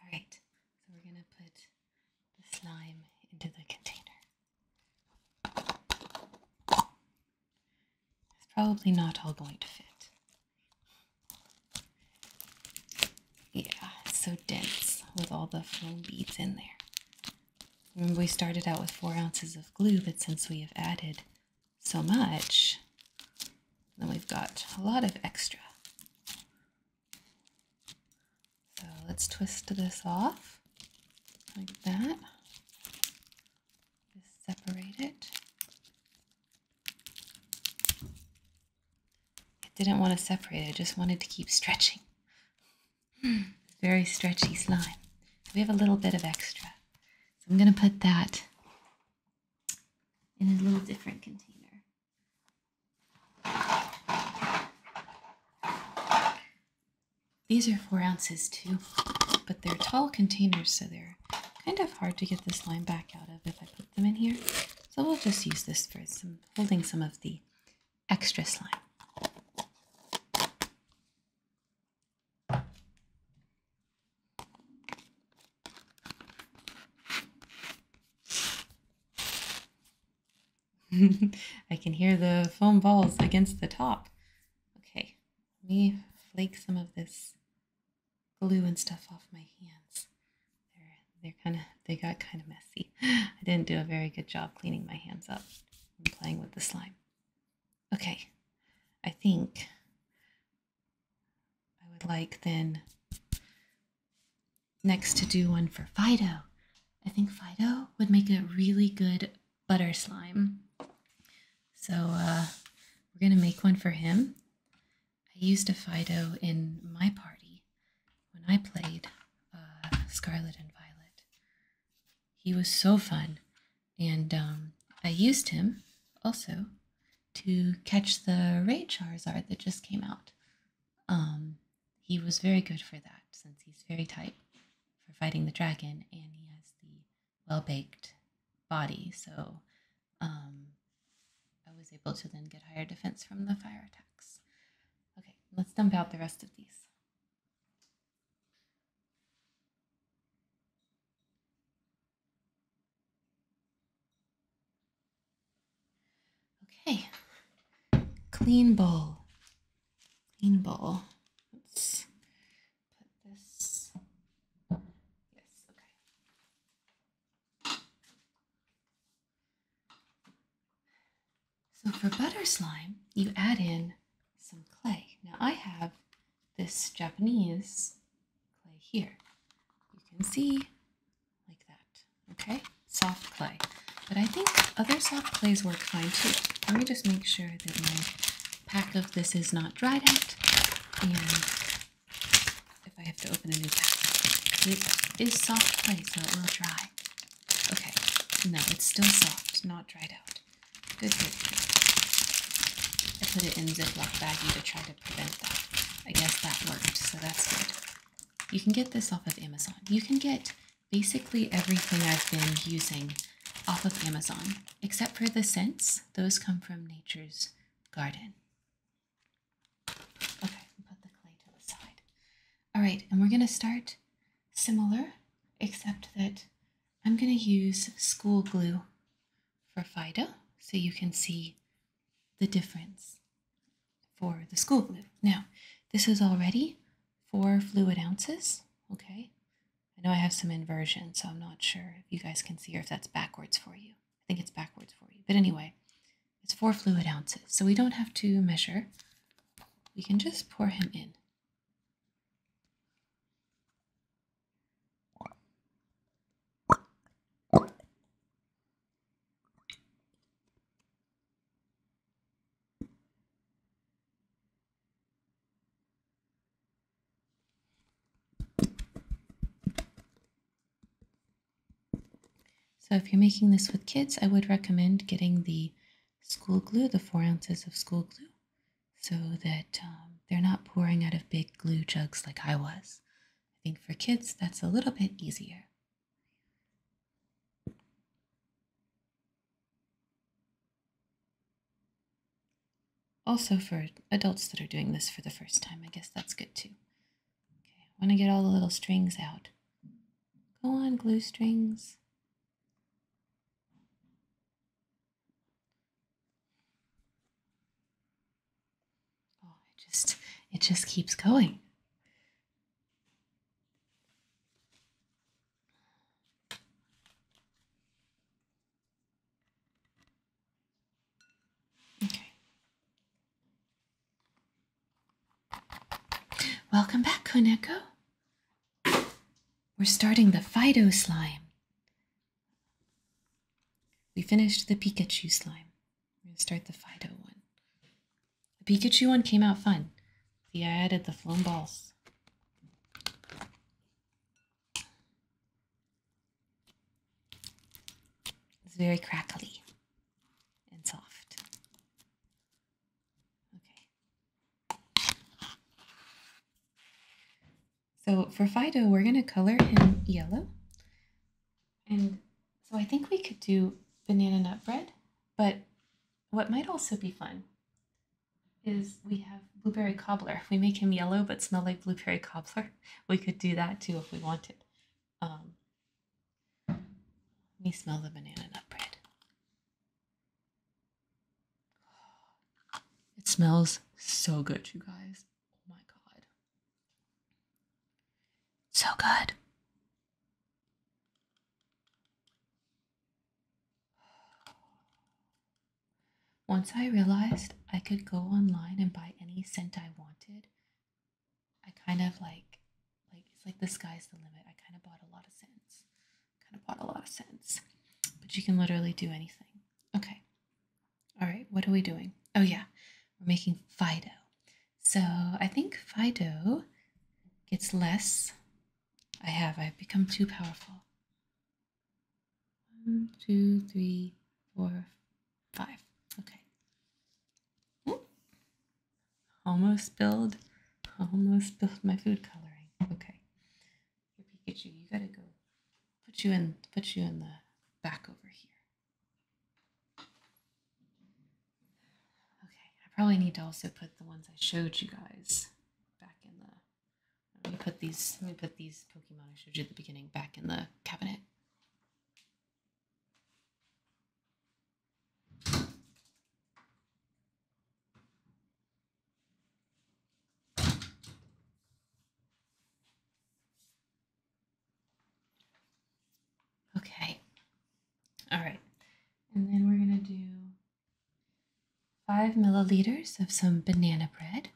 All right, so we're gonna put the slime into the container. It's probably not all going to fit. Yeah, it's so dense with all the foam beads in there. Remember, we started out with four ounces of glue, but since we have added so much, then we've got a lot of extra. So let's twist this off like that. Just separate it. I didn't want to separate, I just wanted to keep stretching. Hmm, very stretchy slime. we have a little bit of extra. So I'm going to put that in a little different container. These are four ounces too, but they're tall containers, so they're kind of hard to get this slime back out of if I put them in here. So we'll just use this for some holding some of the extra slime. I can hear the foam balls against the top. Okay, let me flake some of this glue and stuff off my hands. They're kind of they got kind of messy. I didn't do a very good job cleaning my hands up and playing with the slime. Okay, I think I would like then next to do one for Fido. I think Fido would make a really good butter slime. So uh, we're gonna make one for him. I used a Fido in my party when I played uh, Scarlet and Violet. He was so fun, and um, I used him also to catch the Ray Charizard that just came out. Um, he was very good for that since he's very type for fighting the dragon and he has the well baked body. So um, I was able to then get higher defense from the fire attacks. Okay, let's dump out the rest of these. Okay, clean bowl, clean bowl. Let's put this, yes, okay. So for butter slime, you add in some clay. Now I have this Japanese clay here. You can see like that, okay? Soft clay. But I think other soft clays work fine too. Let me just make sure that my pack of this is not dried out and if I have to open a new pack. It is soft clay, so it will dry. Okay, no, it's still soft, not dried out. Good, good, I put it in Ziploc baggie to try to prevent that. I guess that worked, so that's good. You can get this off of Amazon. You can get basically everything I've been using off of Amazon, except for the scents. Those come from Nature's Garden. Okay, put the clay to the side. All right, and we're going to start similar, except that I'm going to use school glue for Fido so you can see the difference for the school glue. Now, this is already four fluid ounces, okay? I know I have some inversion, so I'm not sure if you guys can see or if that's backwards for you. I think it's backwards for you. But anyway, it's four fluid ounces, so we don't have to measure. We can just pour him in. So if you're making this with kids, I would recommend getting the school glue, the four ounces of school glue, so that um, they're not pouring out of big glue jugs like I was. I think for kids, that's a little bit easier. Also, for adults that are doing this for the first time, I guess that's good too. Okay, I want to get all the little strings out. Go on, glue strings. Oh, it just it just keeps going. Okay. Welcome back, Koneko. We're starting the Fido slime. We finished the Pikachu slime. We're going to start the Fido one. The Pikachu one came out fun. See, I added the foam balls. It's very crackly and soft. Okay. So for Fido, we're going to color him yellow. And so I think we could do banana nut bread, but what might also be fun is we have blueberry cobbler. If we make him yellow but smell like blueberry cobbler, we could do that too if we wanted. Um, let me smell the banana nut bread. It smells so good, you guys. Oh my god. So good. Once I realized I could go online and buy any scent I wanted, I kind of like like it's like the sky's the limit. I kind of bought a lot of sense. Kind of bought a lot of sense. But you can literally do anything. Okay. All right, what are we doing? Oh yeah. We're making Fido. So, I think Fido gets less. I have. I've become too powerful. One, two, three, four, five. Okay. Hmm? Almost spilled, almost spilled my food coloring. Okay, here Pikachu, you gotta go. Put you in, put you in the back over here. Okay, I probably need to also put the ones I showed you guys back in the. Let me put these. Let me put these Pokemon I showed you at the beginning back in the cabinet. Okay. All right. And then we're going to do five milliliters of some banana bread,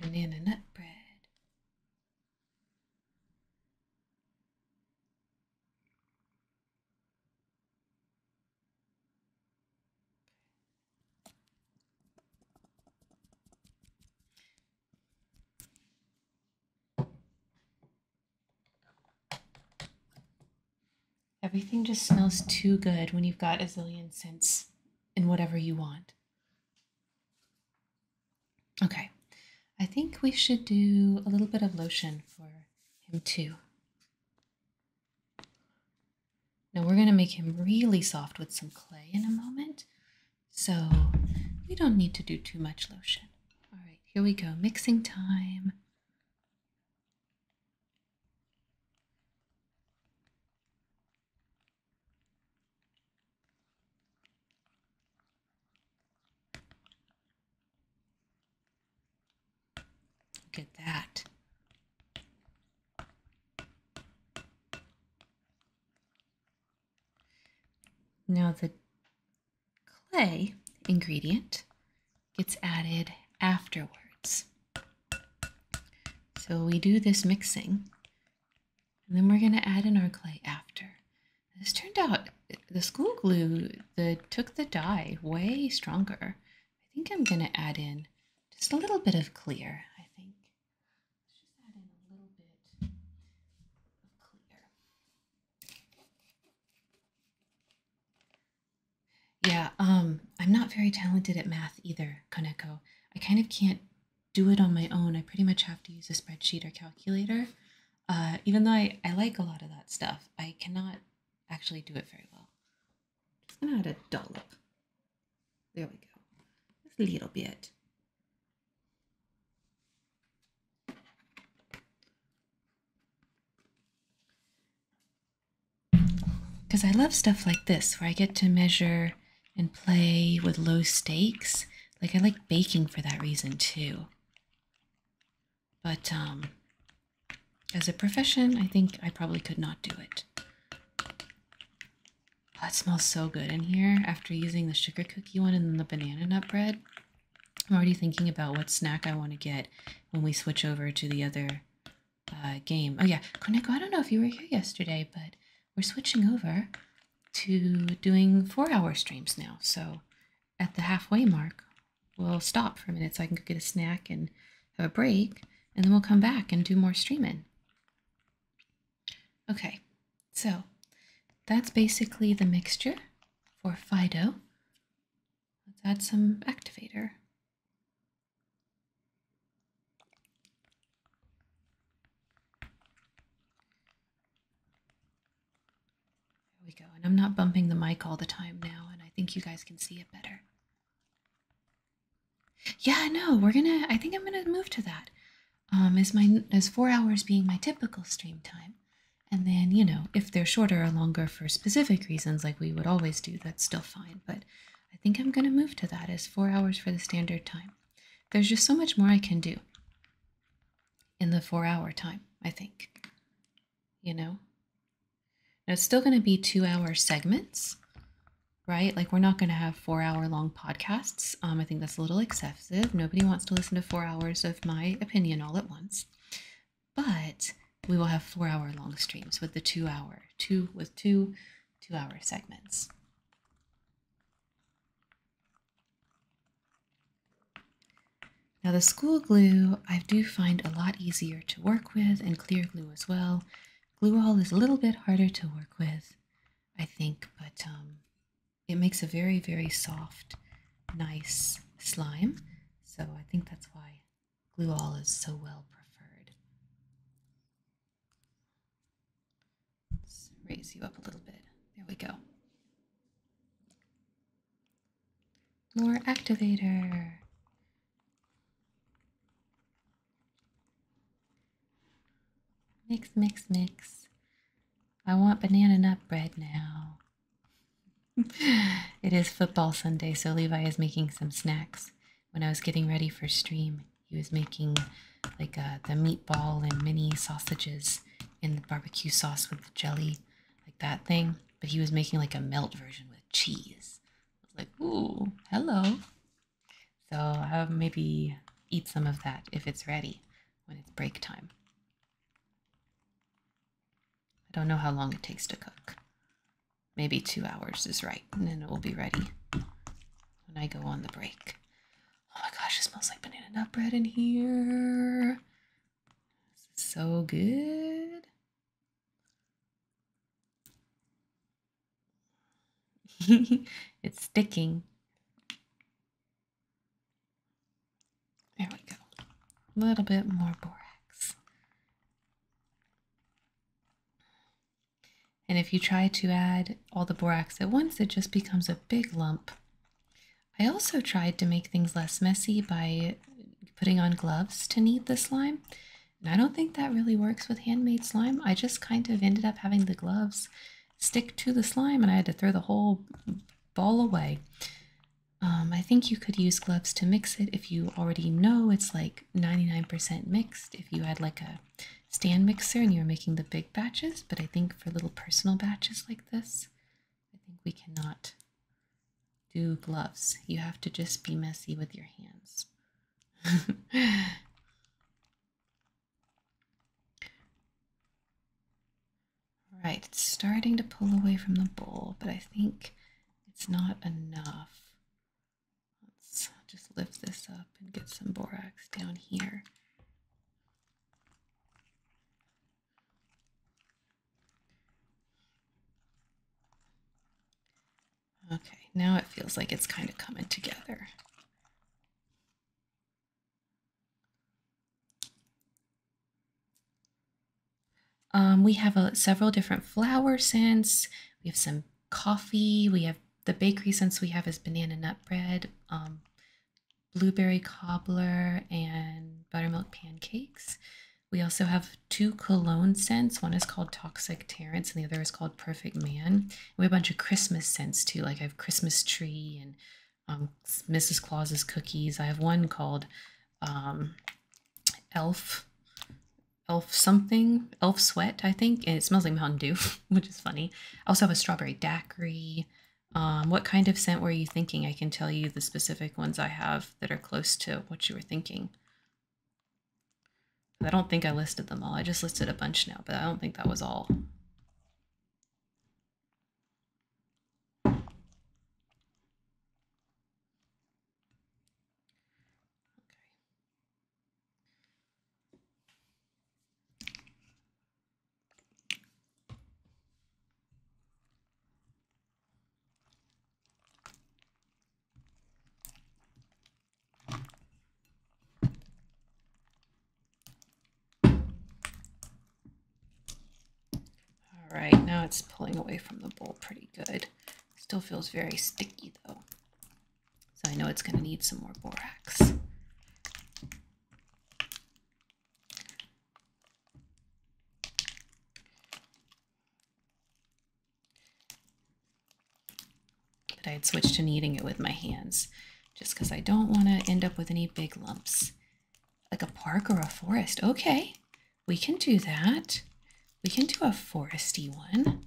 banana nut bread. Everything just smells too good when you've got a zillion scents in whatever you want. Okay, I think we should do a little bit of lotion for him too. Now we're going to make him really soft with some clay in a moment. So we don't need to do too much lotion. All right, here we go. Mixing time. Look at that. Now the clay ingredient gets added afterwards. So we do this mixing and then we're going to add in our clay after. This turned out the school glue that took the dye way stronger. I think I'm going to add in just a little bit of clear. I think Yeah, um, I'm not very talented at math either, Koneko. I kind of can't do it on my own. I pretty much have to use a spreadsheet or calculator. Uh, even though I, I like a lot of that stuff, I cannot actually do it very well. Just gonna add a dollop. There we go. a little bit. Because I love stuff like this where I get to measure and play with low stakes. Like I like baking for that reason too. But um, as a profession, I think I probably could not do it. that smells so good in here after using the sugar cookie one and then the banana nut bread. I'm already thinking about what snack I want to get when we switch over to the other uh, game. Oh yeah, Koneko, I don't know if you were here yesterday, but we're switching over to doing four hour streams now. So at the halfway mark, we'll stop for a minute so I can go get a snack and have a break, and then we'll come back and do more streaming. Okay, so that's basically the mixture for Fido. Let's add some activator. There we go. And I'm not bumping the mic all the time now, and I think you guys can see it better. Yeah, no, we're gonna. I think I'm gonna move to that. Um, as my as four hours being my typical stream time, and then you know if they're shorter or longer for specific reasons, like we would always do, that's still fine. But I think I'm gonna move to that as four hours for the standard time. There's just so much more I can do in the four hour time. I think you know? Now, it's still going to be two hour segments, right? Like, we're not going to have four hour long podcasts. Um, I think that's a little excessive. Nobody wants to listen to four hours of my opinion all at once. But we will have four hour long streams with the two hour, two with two two hour segments. Now the school glue I do find a lot easier to work with and clear glue as well. Glue all is a little bit harder to work with, I think, but um, it makes a very, very soft, nice slime. So I think that's why glue all is so well preferred. Let's raise you up a little bit. There we go. More activator. Mix, mix, mix. I want banana nut bread now. it is football Sunday, so Levi is making some snacks. When I was getting ready for stream, he was making like uh, the meatball and mini sausages in the barbecue sauce with the jelly like that thing, but he was making like a melt version with cheese. I was like, ooh, hello. So I'll maybe eat some of that if it's ready when it's break time. I don't know how long it takes to cook. Maybe two hours is right, and then it will be ready when I go on the break. Oh my gosh, it smells like banana nut bread in here. so good. it's sticking. There we go. A little bit more borax. And if you try to add all the borax at once, it just becomes a big lump. I also tried to make things less messy by putting on gloves to knead the slime. And I don't think that really works with handmade slime. I just kind of ended up having the gloves stick to the slime and I had to throw the whole ball away. Um, I think you could use gloves to mix it if you already know it's like 99% mixed. If you had like a stand mixer and you were making the big batches, but I think for little personal batches like this, I think we cannot do gloves. You have to just be messy with your hands. Right, it's starting to pull away from the bowl, but I think it's not enough. Let's just lift this up and get some borax down here. Okay, now it feels like it's kind of coming together. Um, we have a, several different flower scents. We have some coffee. We have the bakery scents we have is banana nut bread, um, blueberry cobbler, and buttermilk pancakes. We also have two cologne scents. One is called Toxic Terrence and the other is called Perfect Man. We have a bunch of Christmas scents too. Like I have Christmas Tree and Mrs. Um, Claus's Cookies. I have one called um, Elf, Elf something, Elf Sweat, I think. And it smells like Mountain Dew, which is funny. I also have a Strawberry Daiquiri. Um, what kind of scent were you thinking? I can tell you the specific ones I have that are close to what you were thinking. I don't think I listed them all. I just listed a bunch now, but I don't think that was all. All right, now it's pulling away from the bowl pretty good. Still feels very sticky though. So I know it's going to need some more borax. But I had switched to kneading it with my hands just because I don't want to end up with any big lumps. Like a park or a forest. Okay, we can do that. We can do a foresty one.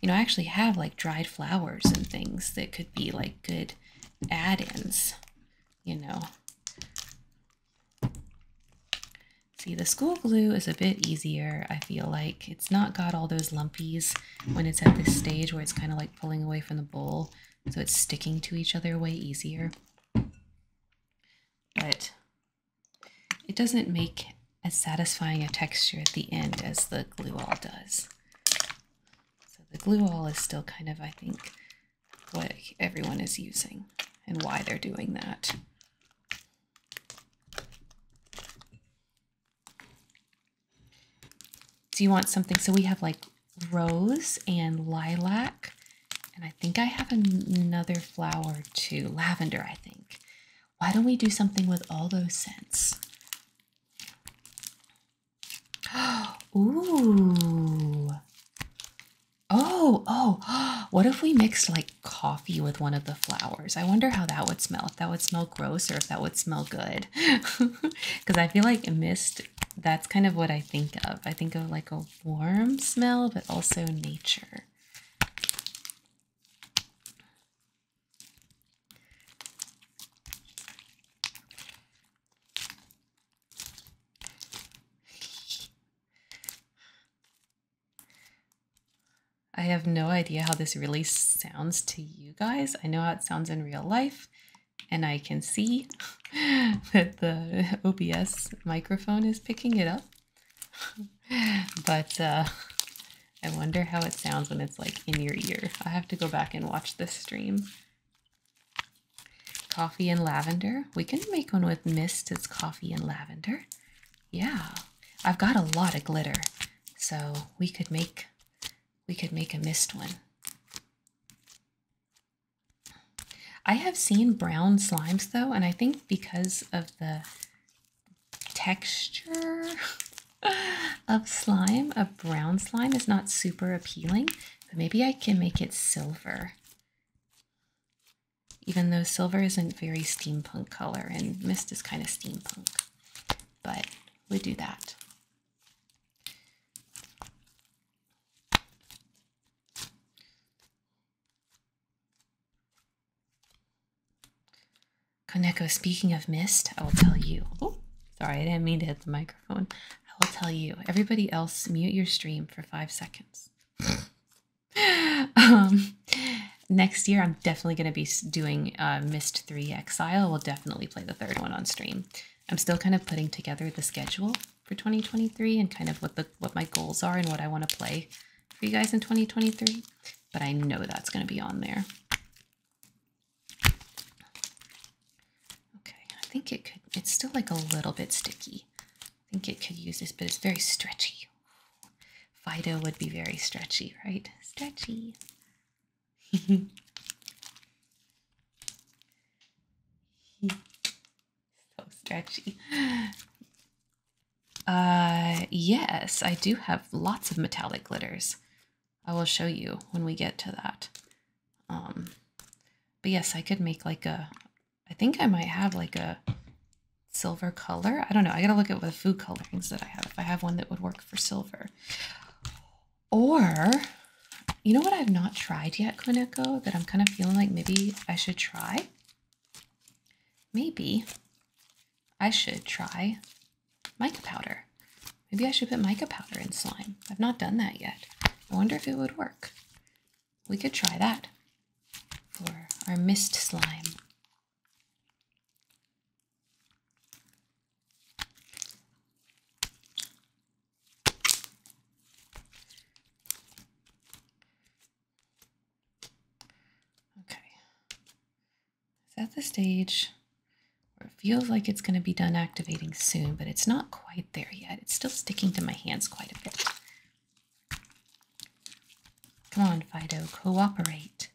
You know, I actually have like dried flowers and things that could be like good add-ins, you know. See, the school glue is a bit easier, I feel like. It's not got all those lumpies when it's at this stage where it's kind of like pulling away from the bowl, so it's sticking to each other way easier. But it doesn't make as satisfying a texture at the end as the glue all does. So the glue all is still kind of, I think, what everyone is using and why they're doing that. Do you want something? So we have like rose and lilac. And I think I have another flower too. Lavender, I think. Why don't we do something with all those scents? Ooh. Oh, oh, what if we mixed like coffee with one of the flowers? I wonder how that would smell. If that would smell gross or if that would smell good. Because I feel like mist, that's kind of what I think of. I think of like a warm smell, but also nature. I have no idea how this really sounds to you guys. I know how it sounds in real life, and I can see that the OBS microphone is picking it up. but uh, I wonder how it sounds when it's like in your ear. I have to go back and watch the stream. Coffee and lavender. We can make one with mist. It's coffee and lavender. Yeah, I've got a lot of glitter, so we could make we could make a mist one. I have seen brown slimes though, and I think because of the texture of slime, a brown slime is not super appealing, but maybe I can make it silver even though silver isn't very steampunk color and mist is kind of steampunk, but we do that. Koneko, speaking of mist, I will tell you. Oh, sorry, I didn't mean to hit the microphone. I will tell you. Everybody else, mute your stream for five seconds. Um, next year, I'm definitely going to be doing uh, Mist 3 Exile. We'll definitely play the third one on stream. I'm still kind of putting together the schedule for 2023 and kind of what the what my goals are and what I want to play for you guys in 2023. But I know that's going to be on there. Okay, I think it could. It's still like a little bit sticky. I think it could use this, but it's very stretchy. Fido would be very stretchy, right? Stretchy. so stretchy. Uh, yes, I do have lots of metallic glitters. I will show you when we get to that. Um, but yes, I could make like a I think I might have like a silver color. I don't know. I gotta look at what food colorings that I have. If I have one that would work for silver. Or, you know what I've not tried yet, Quineco, that I'm kind of feeling like maybe I should try? Maybe I should try mica powder. Maybe I should put mica powder in slime. I've not done that yet. I wonder if it would work. We could try that for our mist slime. Okay. It's at the stage where it feels like it's going to be done activating soon, but it's not quite there yet. It's still sticking to my hands quite a bit. Come on, Fido, cooperate.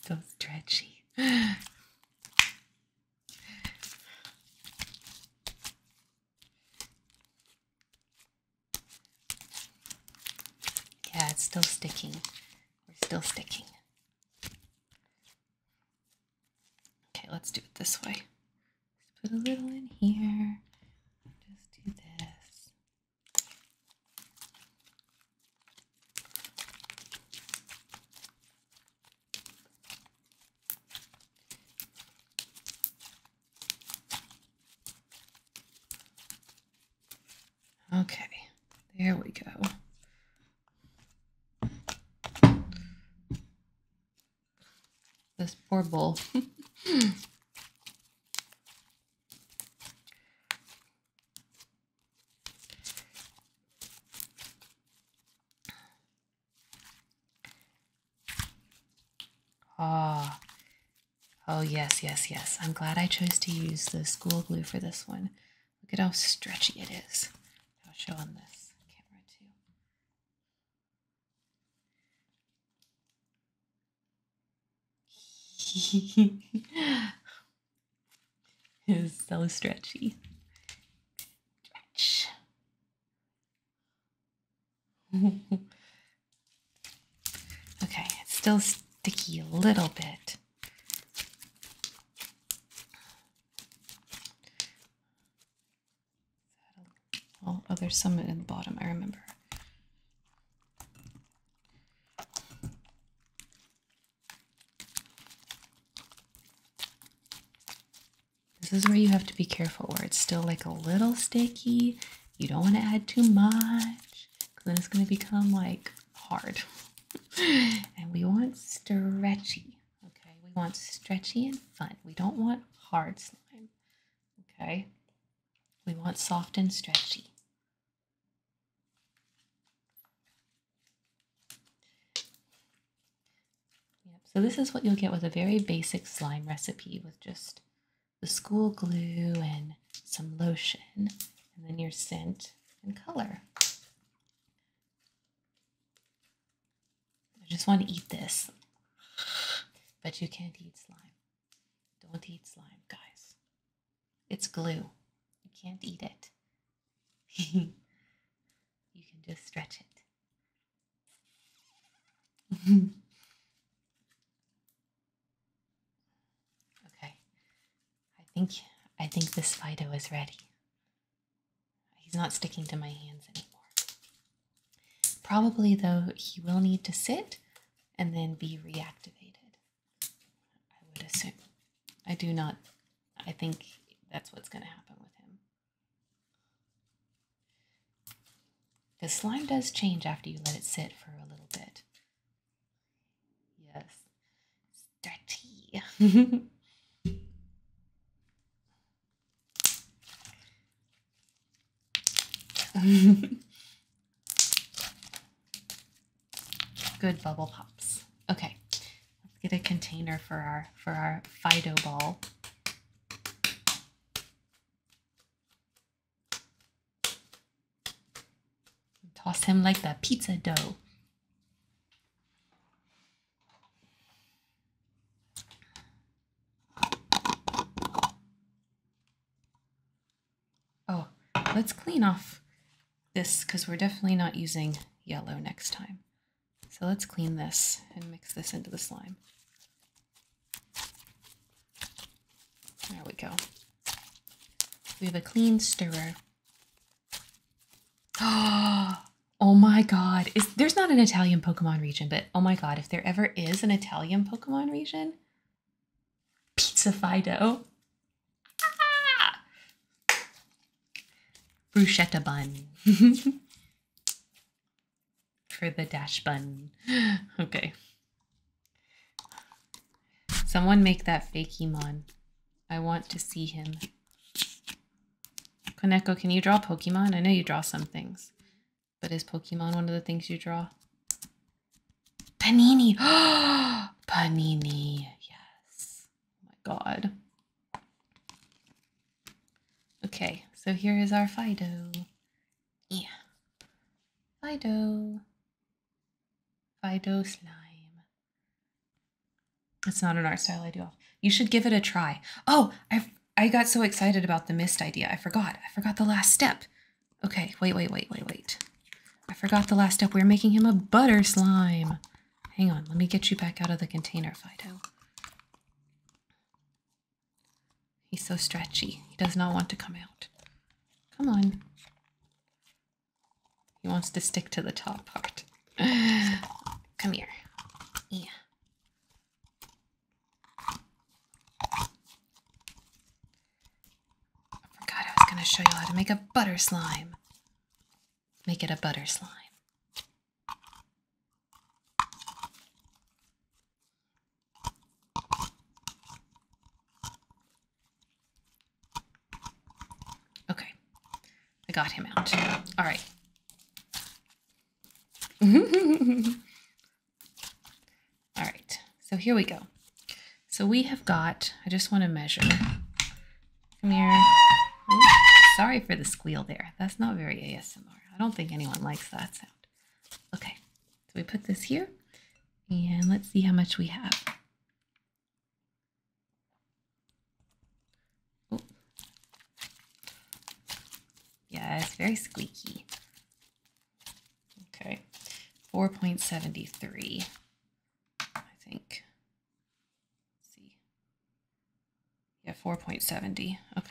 It's so stretchy. Yeah, it's still sticking. We're still sticking. Okay, let's do it this way. Just put a little in here. Just do this. Okay, there we go. This poor bull. Ah. Oh, yes, yes, yes. I'm glad I chose to use the school glue for this one. Look at how stretchy it is. I'll show on this camera, too. it is so stretchy. okay, it's still sticky a little bit. Oh, there's some in the bottom, I remember. This is where you have to be careful where it's still like a little sticky. You don't want to add too much because then it's going to become like hard. and we want stretchy. Okay, we want stretchy and fun. We don't want hard slime. Okay, we want soft and stretchy. Yep, so this is what you'll get with a very basic slime recipe with just the school glue and some lotion, and then your scent and color. I just want to eat this, but you can't eat slime. Don't eat slime, guys. It's glue. You can't eat it. you can just stretch it okay. I think I think this Fido is ready. He's not sticking to my hands anymore. Probably though he will need to sit and then be reactivated. I would assume. I do not I think that's what's going to happen with him. The slime does change after you let it sit for a little bit. Yes. Dirty. Good bubble pops. Okay. Let's get a container for our for our Fido ball. Toss him like the pizza dough. Oh, let's clean off this because we're definitely not using yellow next time. So let's clean this and mix this into the slime. There we go. We have a clean stirrer. Oh my god. there's not an Italian Pokemon region, but oh my god, if there ever is an Italian Pokemon region, Pizza Fido. Ah! Bruschetta bun. for the dash button. okay. Someone make that Fakemon. I want to see him. Koneko, can you draw Pokemon? I know you draw some things. But is Pokemon one of the things you draw? Panini! Panini! Yes. Oh my god. Okay, so here is our Fido. Yeah. Fido. Fido slime. It's not an art style I do You should give it a try. Oh, I I got so excited about the mist idea. I forgot. I forgot the last step. Okay, wait, wait, wait, wait, wait. I forgot the last step. we're making him a butter slime. Hang on, let me get you back out of the container, Fido. He's so stretchy. He does not want to come out. Come on. He wants to stick to the top part. come here. Yeah. I forgot I was going to show you how to make a butter slime. Make it a butter slime. Okay, I got him out. All right. All right, so here we go. So we have got, I just want to measure. Come here. sorry for the squeal there. That's not very ASMR. I don't think anyone likes that sound. Okay, so we put this here and let's see how much we have. Oh. Yeah, it's very squeaky. Okay, 4.73, I think. see. Yeah, 4.70. Okay.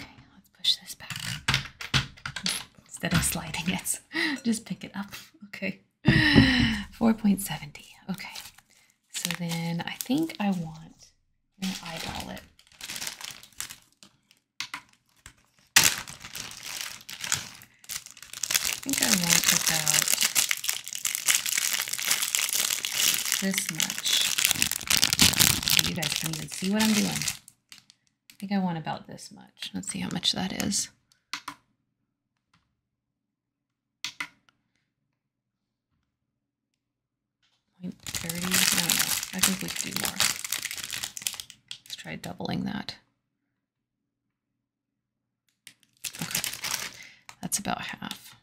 Okay, let's push this back. Instead of sliding it, just pick it up. Okay. 4.70. Okay. So then I think I want, I'm going to eyeball it. I think I want about this much. You guys can even see what I'm doing. I think I want about this much. Let's see how much that is. Point 30, I don't know. I think we could do more. Let's try doubling that. Okay, that's about half.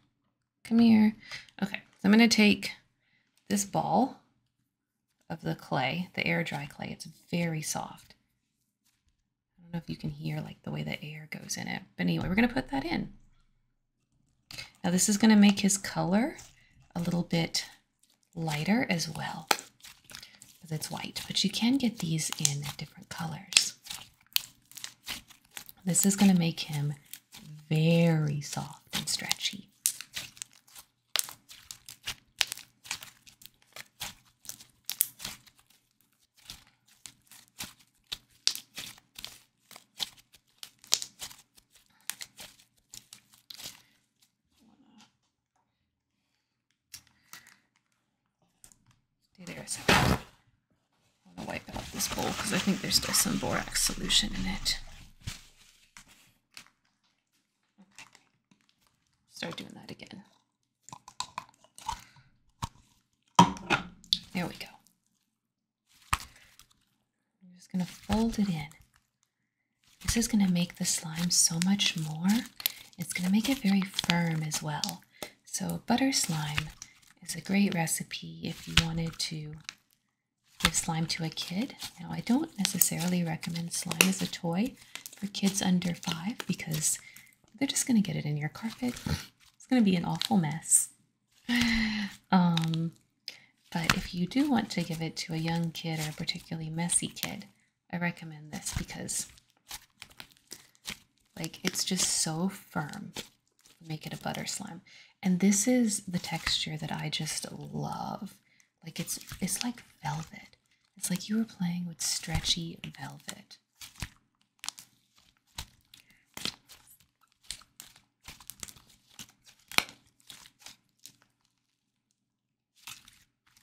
Come here. Okay, so I'm going to take this ball of the clay, the air dry clay. It's very soft. I don't know if you can hear like the way the air goes in it. But anyway, we're going to put that in. Now this is going to make his color a little bit lighter as well because it's white. But you can get these in different colors. This is going to make him very soft and stretchy. Stay there a second. I am going to wipe out this bowl because I think there's still some borax solution in it. Okay. Start doing that again. There we go. I'm just going to fold it in. This is going to make the slime so much more. It's going to make it very firm as well. So butter slime it's a great recipe if you wanted to give slime to a kid. Now, I don't necessarily recommend slime as a toy for kids under five because they're just going to get it in your carpet. It's going to be an awful mess. Um, but if you do want to give it to a young kid or a particularly messy kid, I recommend this because like it's just so firm make it a butter slime. And this is the texture that I just love. Like it's it's like velvet. It's like you were playing with stretchy velvet.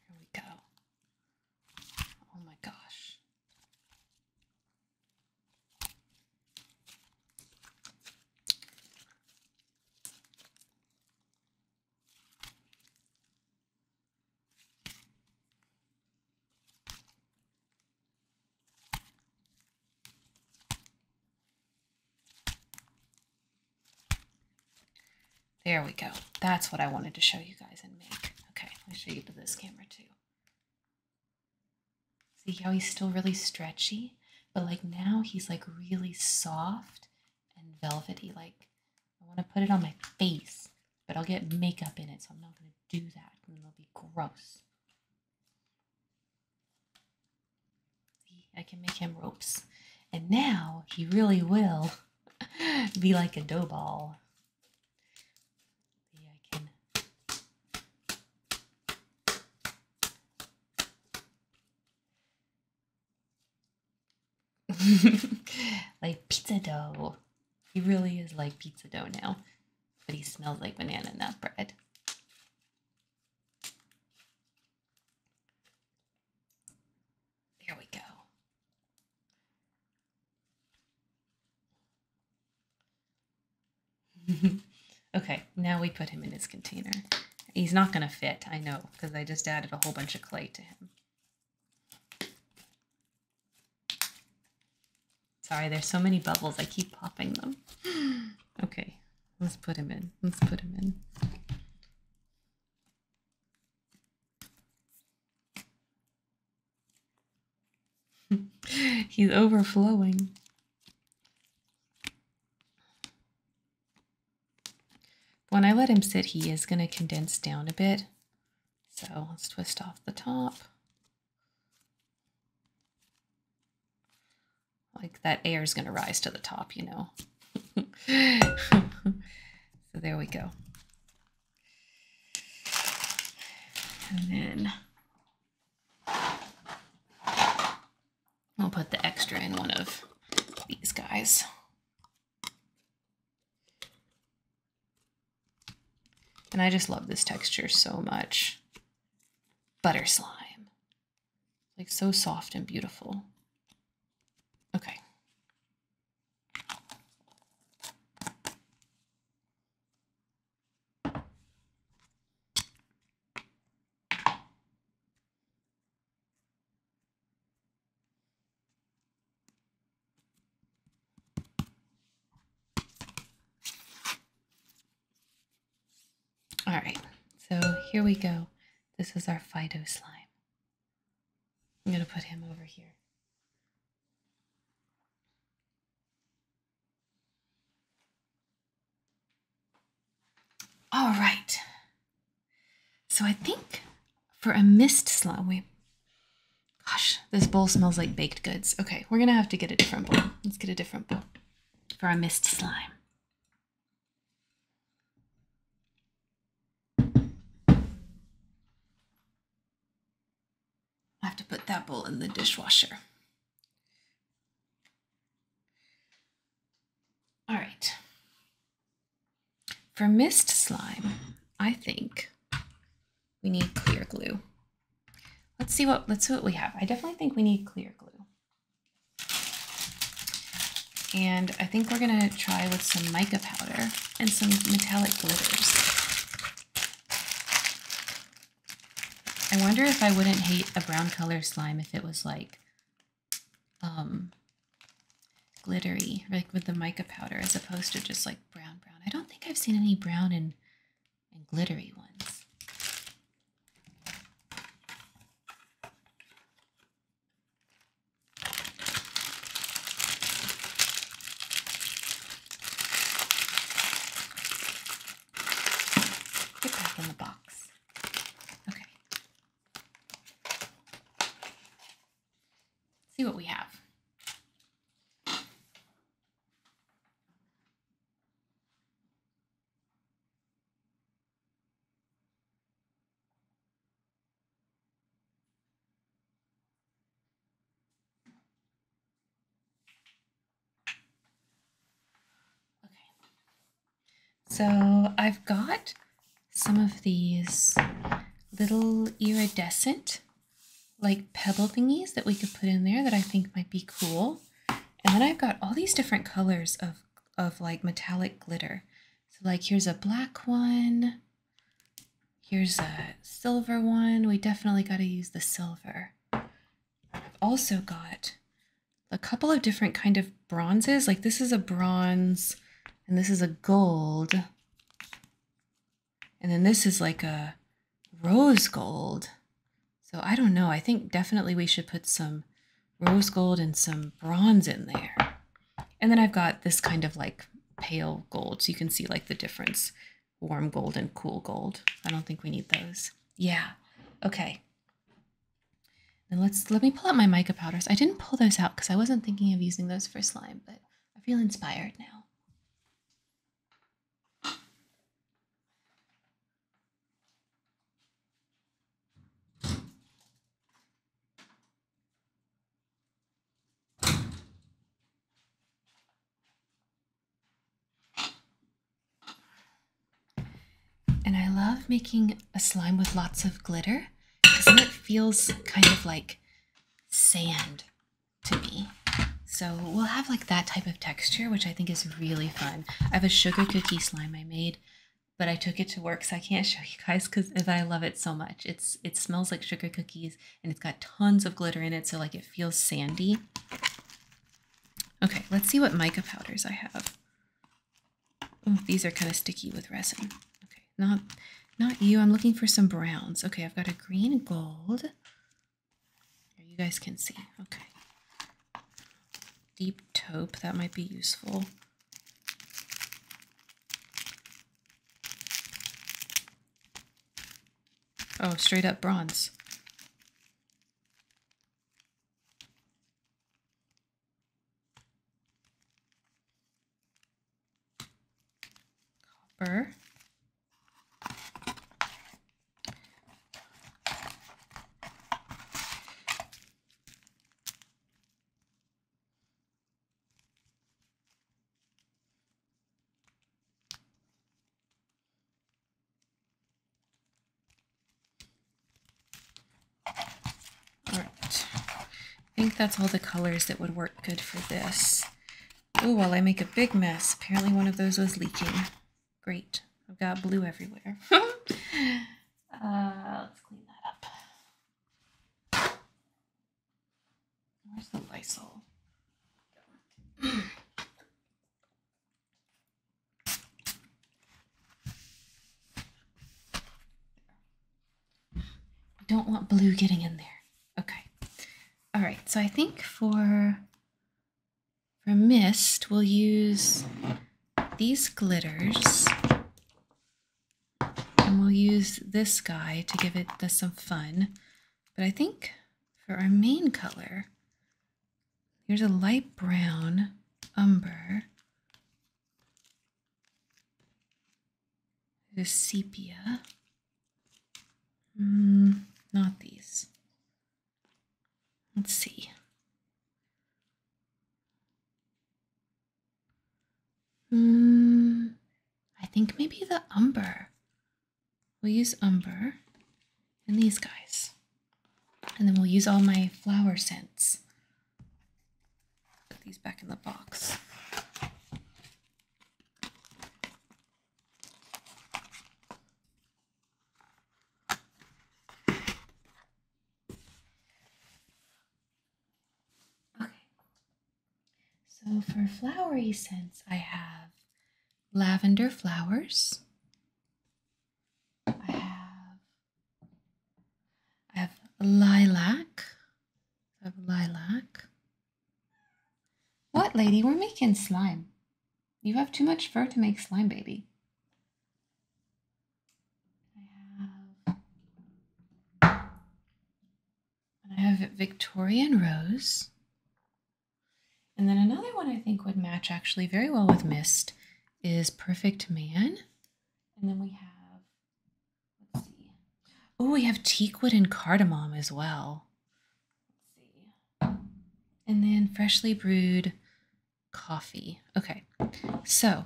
Here we go. Oh my gosh. There we go. That's what I wanted to show you guys and make. Okay, let me show you to this camera too. See how he's still really stretchy, but like now he's like really soft and velvety. Like I want to put it on my face, but I'll get makeup in it, so I'm not going to do that, and it'll be gross. I can make him ropes, and now he really will be like a dough ball. like pizza dough. He really is like pizza dough now, but he smells like banana nut bread. There we go. okay, now we put him in his container. He's not going to fit, I know, because I just added a whole bunch of clay to him. Sorry, there's so many bubbles, I keep popping them. okay, let's put him in. Let's put him in. He's overflowing. When I let him sit, he is going to condense down a bit. So let's twist off the top. Like that air is going to rise to the top, you know. so there we go. And then I'll put the extra in one of these guys. And I just love this texture so much. Butter slime. Like so soft and beautiful. Okay. All right, so here we go. This is our Fido slime. I'm going to put him over here. All right. So I think for a mist slime, we. Gosh, this bowl smells like baked goods. Okay, we're gonna have to get a different bowl. Let's get a different bowl for our mist slime. I have to put that bowl in the dishwasher. All right. For mist slime, I think we need clear glue. Let's see what let's see what we have. I definitely think we need clear glue. And I think we're gonna try with some mica powder and some metallic glitters. I wonder if I wouldn't hate a brown color slime if it was like um, glittery, like with the mica powder, as opposed to just like brown brown. I don't think I've seen any brown and, and glittery ones. Get back in the box. Okay. See what we have. Okay. So I've got some of these little iridescent like pebble thingies that we could put in there that I think might be cool. And then I've got all these different colors of, of like metallic glitter. So like here's a black one. Here's a silver one. We definitely got to use the silver. I've also got a couple of different kind of bronzes. Like this is a bronze and this is a gold. And then this is like a rose gold. So I don't know. I think definitely we should put some rose gold and some bronze in there. And then I've got this kind of like pale gold. So you can see like the difference, warm gold and cool gold. I don't think we need those. Yeah. Okay let's let me pull out my mica powders. I didn't pull those out because I wasn't thinking of using those for slime, but I feel inspired now. And I love making a slime with lots of glitter because it feels kind of like sand to me. So we'll have like that type of texture, which I think is really fun. I have a sugar cookie slime I made, but I took it to work, so I can't show you guys because I love it so much. It's It smells like sugar cookies and it's got tons of glitter in it, so like it feels sandy. Okay, let's see what mica powders I have these are kind of sticky with resin. Okay, not not you. I'm looking for some browns. Okay, I've got a green gold. you guys can see. Okay. Deep taupe, that might be useful. Oh, straight up bronze copper. All right. I think that's all the colors that would work good for this. Oh, while well, I make a big mess, apparently one of those was leaking. Great. I've got blue everywhere. Uh, let's clean that up. Where's the Lysol? I don't want blue getting in there. Okay. All right. So I think for for mist, we'll use these glitters. And we'll use this guy to give it the, some fun. But I think for our main color, Here's a light brown umber. There's sepia. Mm, not these. Let's see. Mm, I think maybe the umber. We'll use umber and these guys. And then we'll use all my flower scents. Put these back in the box. Okay. So for flowery scents, I have lavender flowers. I have I have lilac. I have lilac. What, lady? We're making slime. You have too much fur to make slime, baby. I have, I have Victorian Rose. And then another one I think would match actually very well with Mist is Perfect Man. And then we have, let's see. Oh, we have teakwood and cardamom as well. Let's see. And then freshly brewed coffee. Okay, so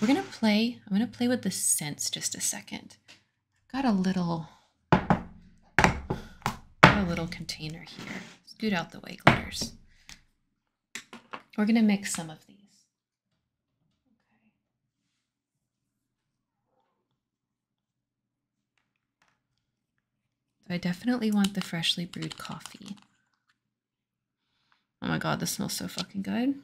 we're gonna play, I'm gonna play with the scents just a second. I've got a little, got a little container here. Scoot out the way, glitters. We're going to mix some of these. Okay. I definitely want the freshly brewed coffee. Oh my god, this smells so fucking good.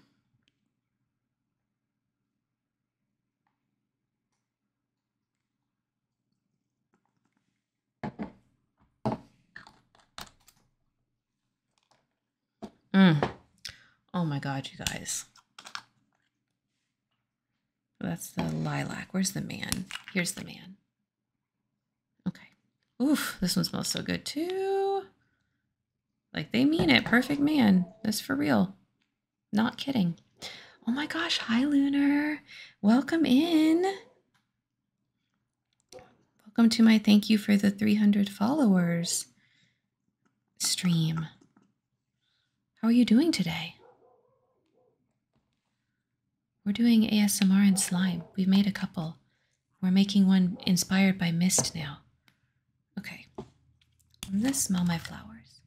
Mm. Oh my God, you guys. That's the lilac. Where's the man? Here's the man. Okay. Oof, this one smells so good too. Like they mean it. Perfect man. This for real. Not kidding. Oh my gosh. Hi, Lunar. Welcome in. Welcome to my thank you for the 300 followers stream. How are you doing today? We're doing ASMR and slime. We've made a couple. We're making one inspired by mist now. Okay. I'm smell my flowers.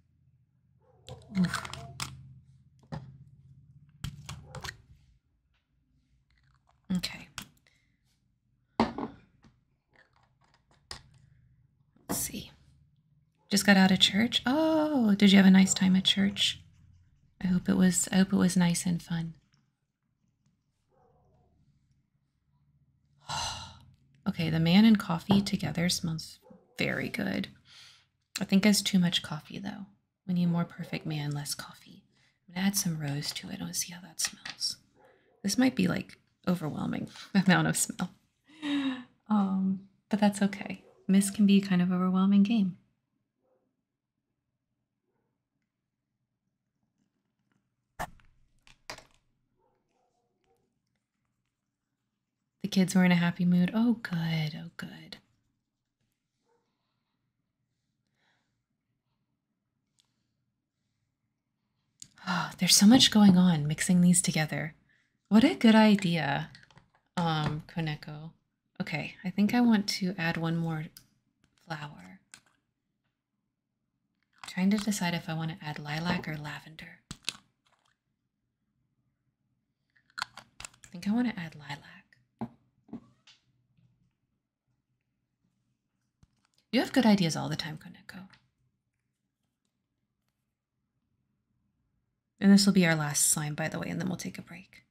Okay. Let's see. Just got out of church. Oh, did you have a nice time at church? I hope it was I hope it was nice and fun. okay, the man and coffee together smells very good. I think it's too much coffee though. We need more perfect man, less coffee. I'm gonna add some rose to it. I want to see how that smells. This might be like overwhelming amount of smell. Um, but that's okay. Mist can be kind of overwhelming game. The kids were in a happy mood. Oh, good. Oh, good. Ah, there's so much going on mixing these together. What a good idea, um, Koneko. Okay, I think I want to add one more flower. trying to decide if I want to add lilac or lavender. I think I want to add lilac. You have good ideas all the time, Koneko. And this will be our last slime, by the way, and then we'll take a break.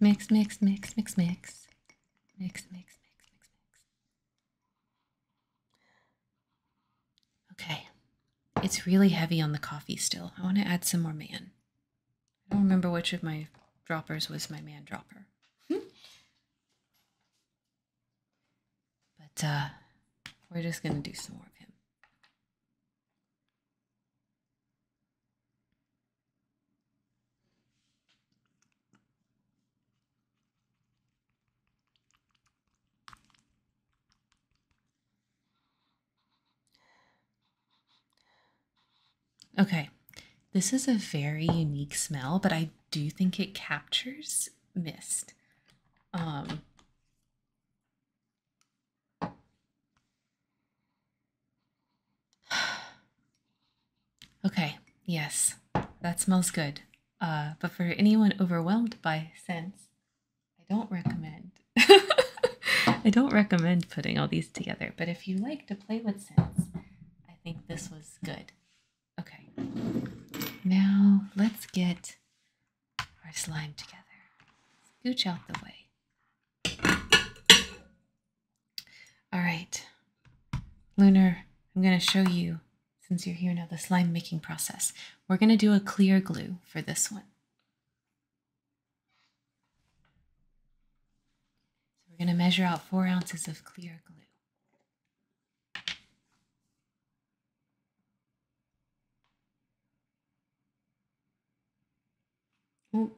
Mix, mix, mix, mix, mix. Mix, mix, mix, mix, mix. Okay. It's really heavy on the coffee still. I want to add some more man. I don't remember which of my droppers was my man dropper. Hmm? but uh, we're just going to do some more of him. Okay, this is a very unique smell, but I do think it captures mist. Um, Okay, yes, that smells good. Uh, but for anyone overwhelmed by scents, I don't recommend. I don't recommend putting all these together, but if you like to play with scents, I think this was good. Okay, now let's get our slime together. Scooch out the way. All right, Lunar, I'm going to show you, since you're here now, the slime making process. We're going to do a clear glue for this one. So we're going to measure out four ounces of clear glue. Ooh,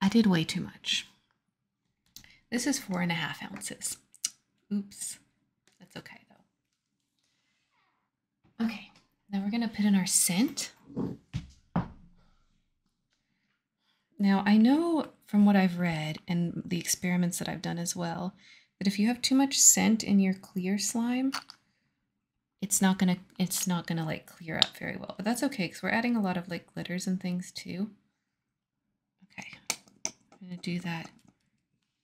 I did way too much. This is four and a half ounces. Oops, that's okay though. Okay, now we're gonna put in our scent. Now, I know from what I've read and the experiments that I've done as well, that if you have too much scent in your clear slime, it's not gonna it's not gonna like clear up very well. But that's okay because we're adding a lot of like glitters and things too. Okay, I'm gonna do that.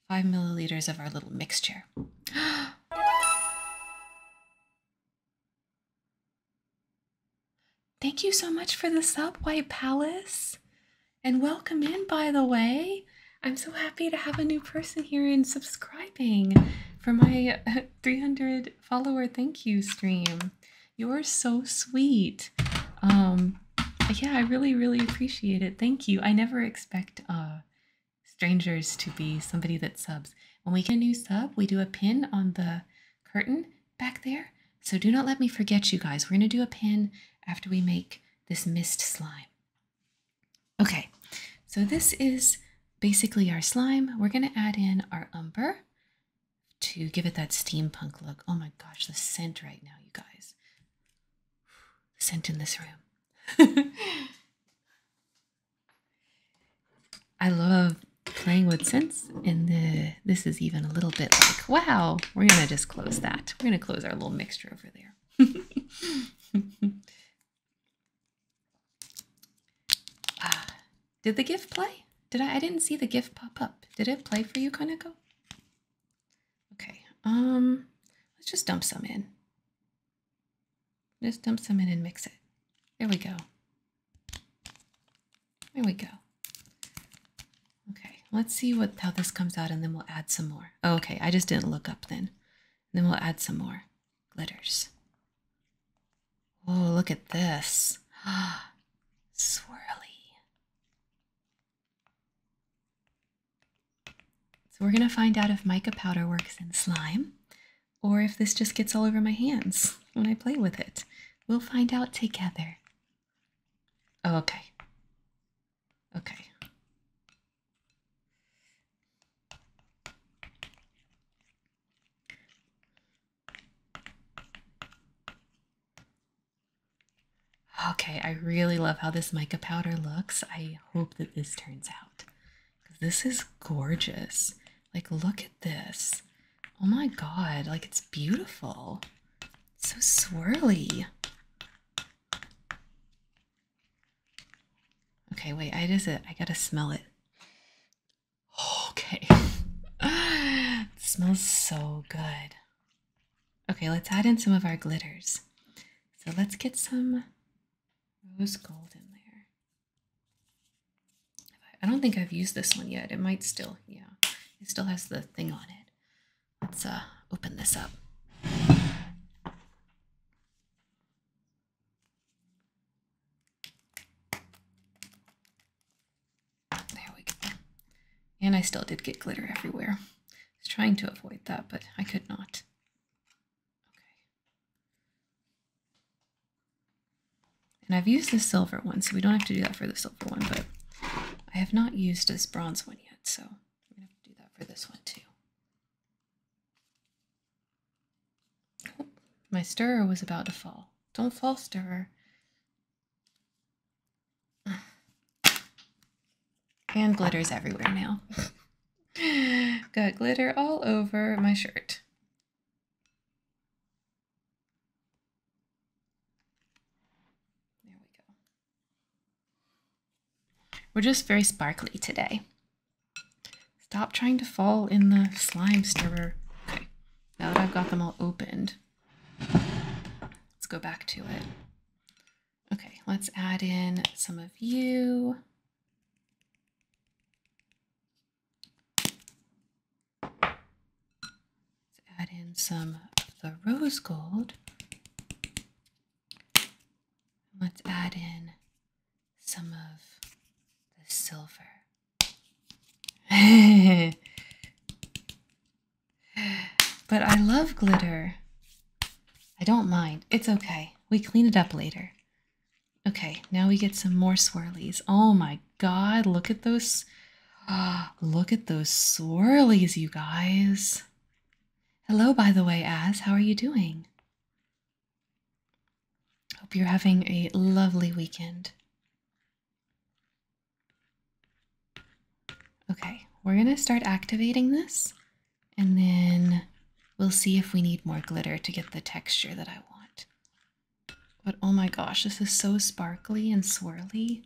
Five milliliters of our little mixture. Thank you so much for the sub, White Palace. And welcome in, by the way. I'm so happy to have a new person here and subscribing for my 300 follower thank you stream. You're so sweet. Um, yeah, I really, really appreciate it. Thank you. I never expect uh, strangers to be somebody that subs. When we get a new sub, we do a pin on the curtain back there. So do not let me forget you guys. We're going to do a pin after we make this mist slime. Okay, so this is basically our slime. We're going to add in our umber to give it that steampunk look. Oh my gosh, the scent right now, you guys. scent in this room. I love playing with scents and the this is even a little bit like, wow, we're gonna just close that. We're gonna close our little mixture over there. Ah, did the gift play? Did I I didn't see the gift pop up. Did it play for you, Kaneko? Okay, um, let's just dump some in. Just dump some in and mix it. There we go. There we go. Okay, let's see what how this comes out and then we'll add some more. Oh, okay, I just didn't look up then. then we'll add some more glitters. Oh, look at this. Swirly. So we're going to find out if mica powder works in slime or if this just gets all over my hands when I play with it. We'll find out together. Oh, okay. Okay. Okay, I really love how this mica powder looks. I hope that this turns out. This is gorgeous. Like, look at this. Oh my god, like, it's beautiful. so swirly. Okay, wait, I just, I gotta smell it. Okay. smells so good. Okay, let's add in some of our glitters. So let's get some rose gold in there. I don't think I've used this one yet. It might still, yeah, it still has the thing on it. Let's uh, open this up. There we go. And I still did get glitter everywhere. I was trying to avoid that, but I could not. Okay. And I've used the silver one, so we don't have to do that for the silver one, but I have not used this bronze one yet, so I'm going to have to do that for this one too. Oh, my stirrer was about to fall. Don't fall, stirrer. And glitter's everywhere now. Got glitter all over my shirt. There we go. We're just very sparkly today. Stop trying to fall in the slime stirrer. Okay, now that I've got them all opened, let's go back to it. Okay, let's add in some of you. Let's add in some of the rose gold. Let's add in some of the silver. But I love glitter. I don't mind. It's okay. We clean it up later. Okay, now we get some more swirlies. Oh my god, look at those. Oh, look at those swirlies, you guys. Hello, by the way, As. How are you doing? Hope you're having a lovely weekend. Okay, we're going to start activating this and then we'll see if we need more glitter to get the texture that I want. But oh my gosh, this is so sparkly and swirly.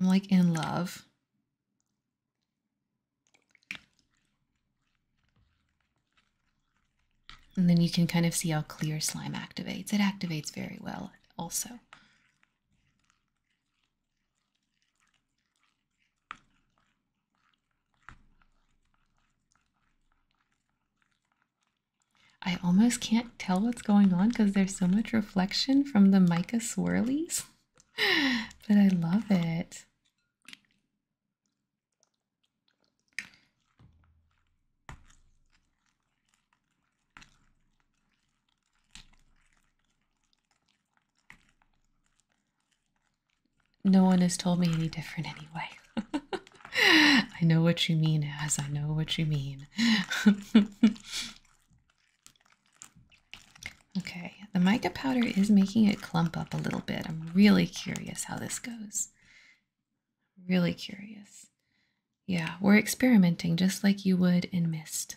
I'm like in love. And then you can kind of see how clear slime activates. It activates very well also. I almost can't tell what's going on because there's so much reflection from the mica swirlies, but I love it. No one has told me any different anyway. I know what you mean, as I know what you mean. okay, the mica powder is making it clump up a little bit. I'm really curious how this goes. Really curious. Yeah, we're experimenting just like you would in Mist.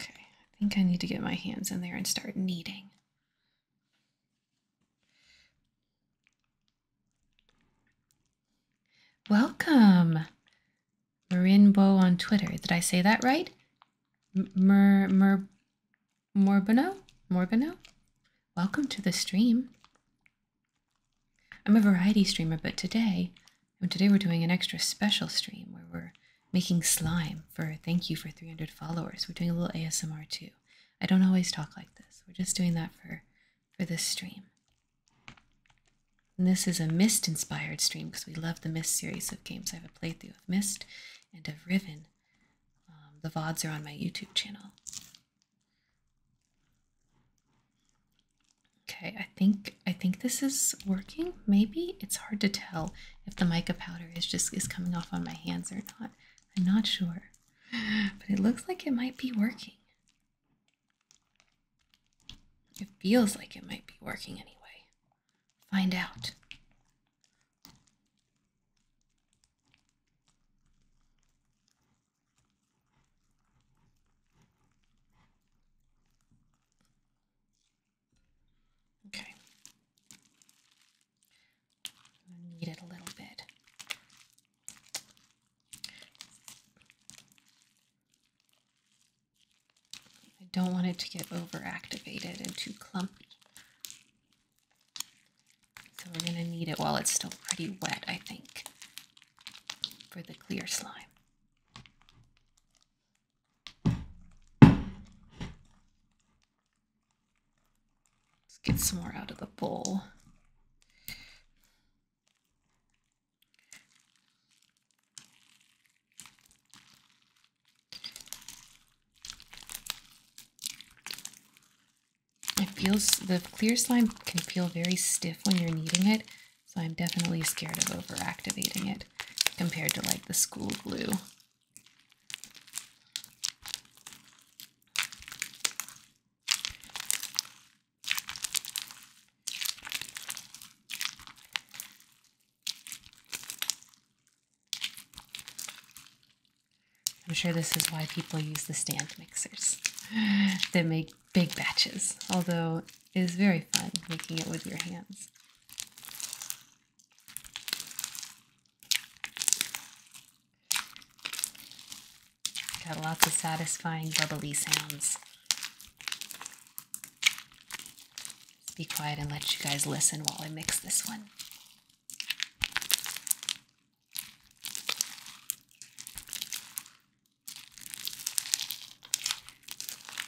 Okay, I think I need to get my hands in there and start kneading. Welcome, Marinbo on Twitter. Did I say that right? Mer, Mer, Morbino? Morbino? Welcome to the stream. I'm a variety streamer, but today and today we're doing an extra special stream where we're making slime for thank you for 300 followers. We're doing a little ASMR too. I don't always talk like this. We're just doing that for for this stream. And this is a Mist inspired stream because we love the Mist series of games. I have a playthrough of Mist and of Riven. Um, the VODs are on my YouTube channel. Okay, I think I think this is working. Maybe it's hard to tell if the mica powder is just is coming off on my hands or not. I'm not sure. But it looks like it might be working. It feels like it might be working anyway. Find out. Okay. Knead it a little bit. I don't want it to get overactivated and too clumpy. So we're going to knead it while it's still pretty wet, I think, for the clear slime. Let's get some more out of the bowl. It feels, the clear slime can feel very stiff when you're kneading it, so I'm definitely scared of overactivating it compared to like the school glue. I'm sure this is why people use the stand mixers They make big batches, although it is very fun making it with your hands. Got lots of satisfying bubbly sounds. be quiet and let you guys listen while I mix this one.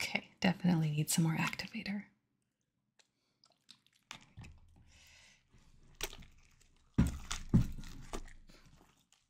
Okay, definitely need some more activator.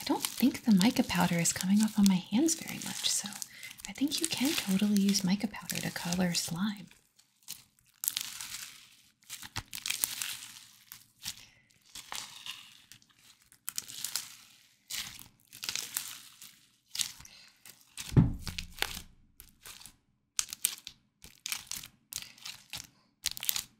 I don't think the mica powder is coming off on my hands very much, so I think you can totally use mica powder to color slime.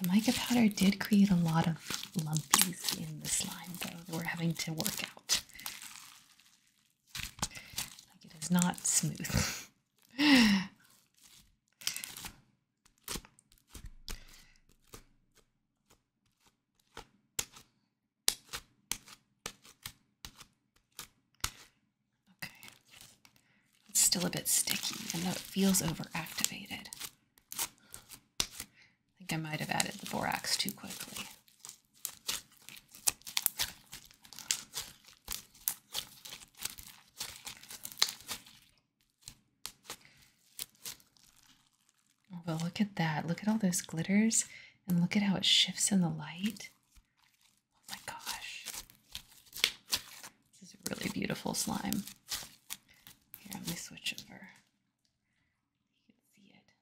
The mica powder did create a lot of lumpies in the slime, though, we're having to work out. Like it is not smooth. Okay. It's still a bit sticky, and though it feels overactivated. I think I might have added the borax too quickly. but look at that. Look at all those glitters and look at how it shifts in the light. Oh my gosh. This is a really beautiful slime. Here, let me switch over. You can see it. Okay.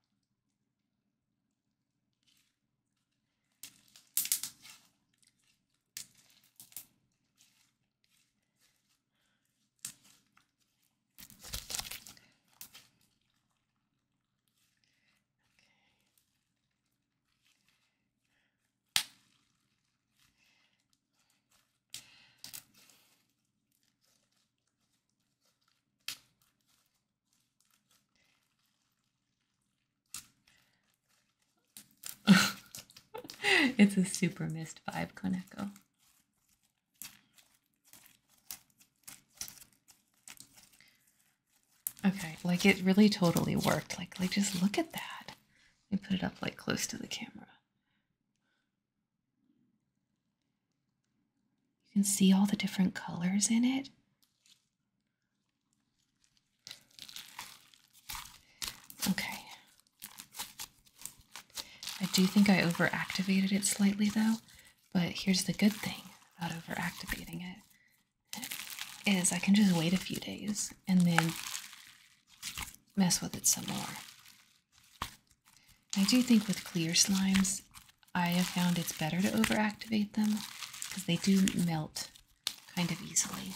it's a super missed vibe, Koneko. Okay, like it really totally worked. Like, like just look at that. You put it up like close to the camera. You can see all the different colors in it. Okay. I do think I overactivated it slightly though, but here's the good thing about overactivating it is I can just wait a few days and then mess with it some more. I do think with clear slimes, I have found it's better to overactivate them because they do melt kind of easily.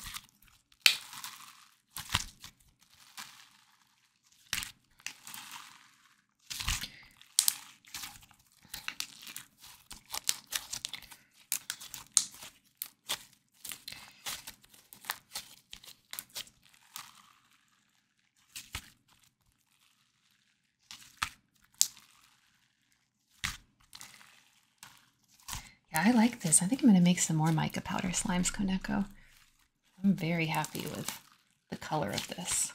Yeah, I like this. I think I'm going to make some more mica powder slimes, Koneko. I'm very happy with the color of this.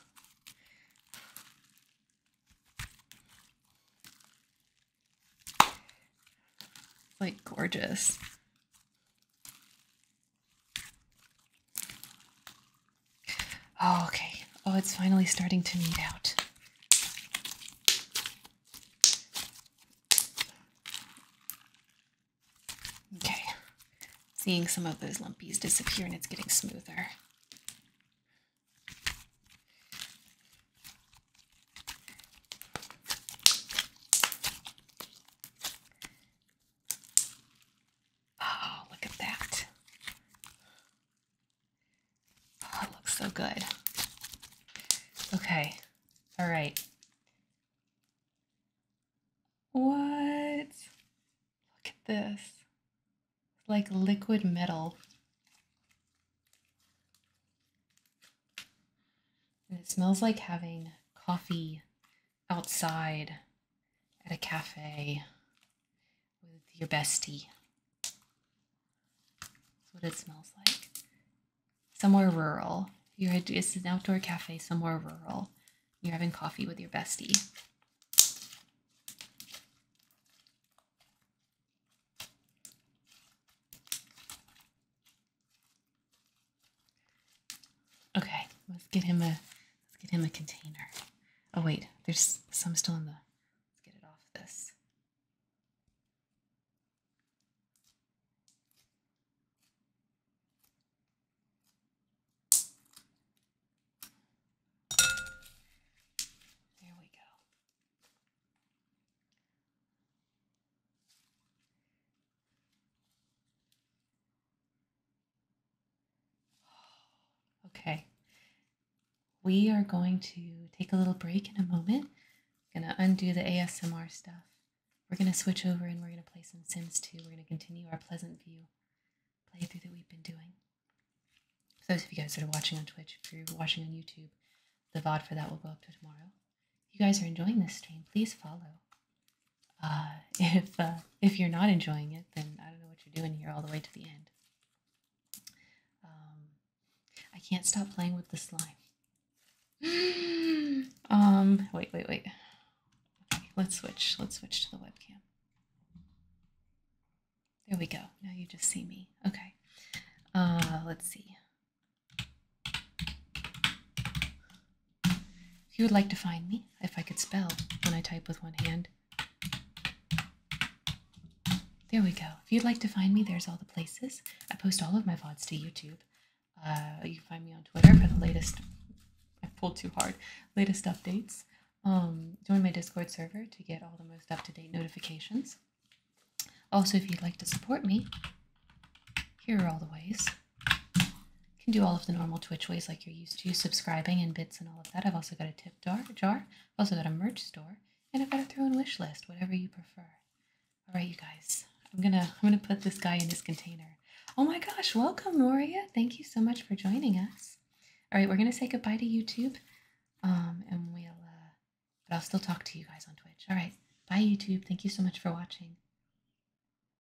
like gorgeous. Oh, okay. Oh, it's finally starting to meet out. Okay. Seeing some of those lumpies disappear and it's getting smoother. Oh, look at that. Oh, it looks so good. Okay. All right. What? Look at this. It's like liquid metal. And it smells like having coffee outside at a cafe with your bestie. That's what it smells like. Somewhere rural. You're at, it's an outdoor cafe somewhere rural. You're having coffee with your bestie. Okay, let's get him a let's get him a container. Oh wait, there's some still in the let's get it off this. There we go. Okay. We are going to take a little break in a moment. going to undo the ASMR stuff. We're going to switch over and we're going to play some Sims too. We're going to continue our Pleasant View playthrough that we've been doing. For those of you guys that are watching on Twitch, if you're watching on YouTube, the VOD for that will go up to tomorrow. If you guys are enjoying this stream, please follow uh, if uh, if you're not enjoying it, then I don't know what you're doing here all the way to the end. Um, I can't stop playing with the slime. um, wait, wait, wait. Okay, let's switch. Let's switch to the webcam. There we go. Now you just see me. Okay. Uh, let's see. If you would like to find me, if I could spell when I type with one hand. There we go. If you'd like to find me, there's all the places. I post all of my VODs to YouTube. Uh, you can find me on Twitter for the latest. I pulled too hard. Latest updates. Um, join my Discord server to get all the most up to date notifications. Also, if you'd like to support me, here are all the ways. You can do all of the normal Twitch ways like you're used to, subscribing and bits and all of that. I've also got a tip jar, jar. I've also got a merch store, and I've got a throw-in wish list, whatever you prefer. All right, you guys. I'm gonna I'm gonna put this guy in his container. Oh my gosh! Welcome, Noria. Thank you so much for joining us. All right, we're gonna say goodbye to YouTube, um, and we'll. Uh, but I'll still talk to you guys on Twitch. All right, bye YouTube. Thank you so much for watching.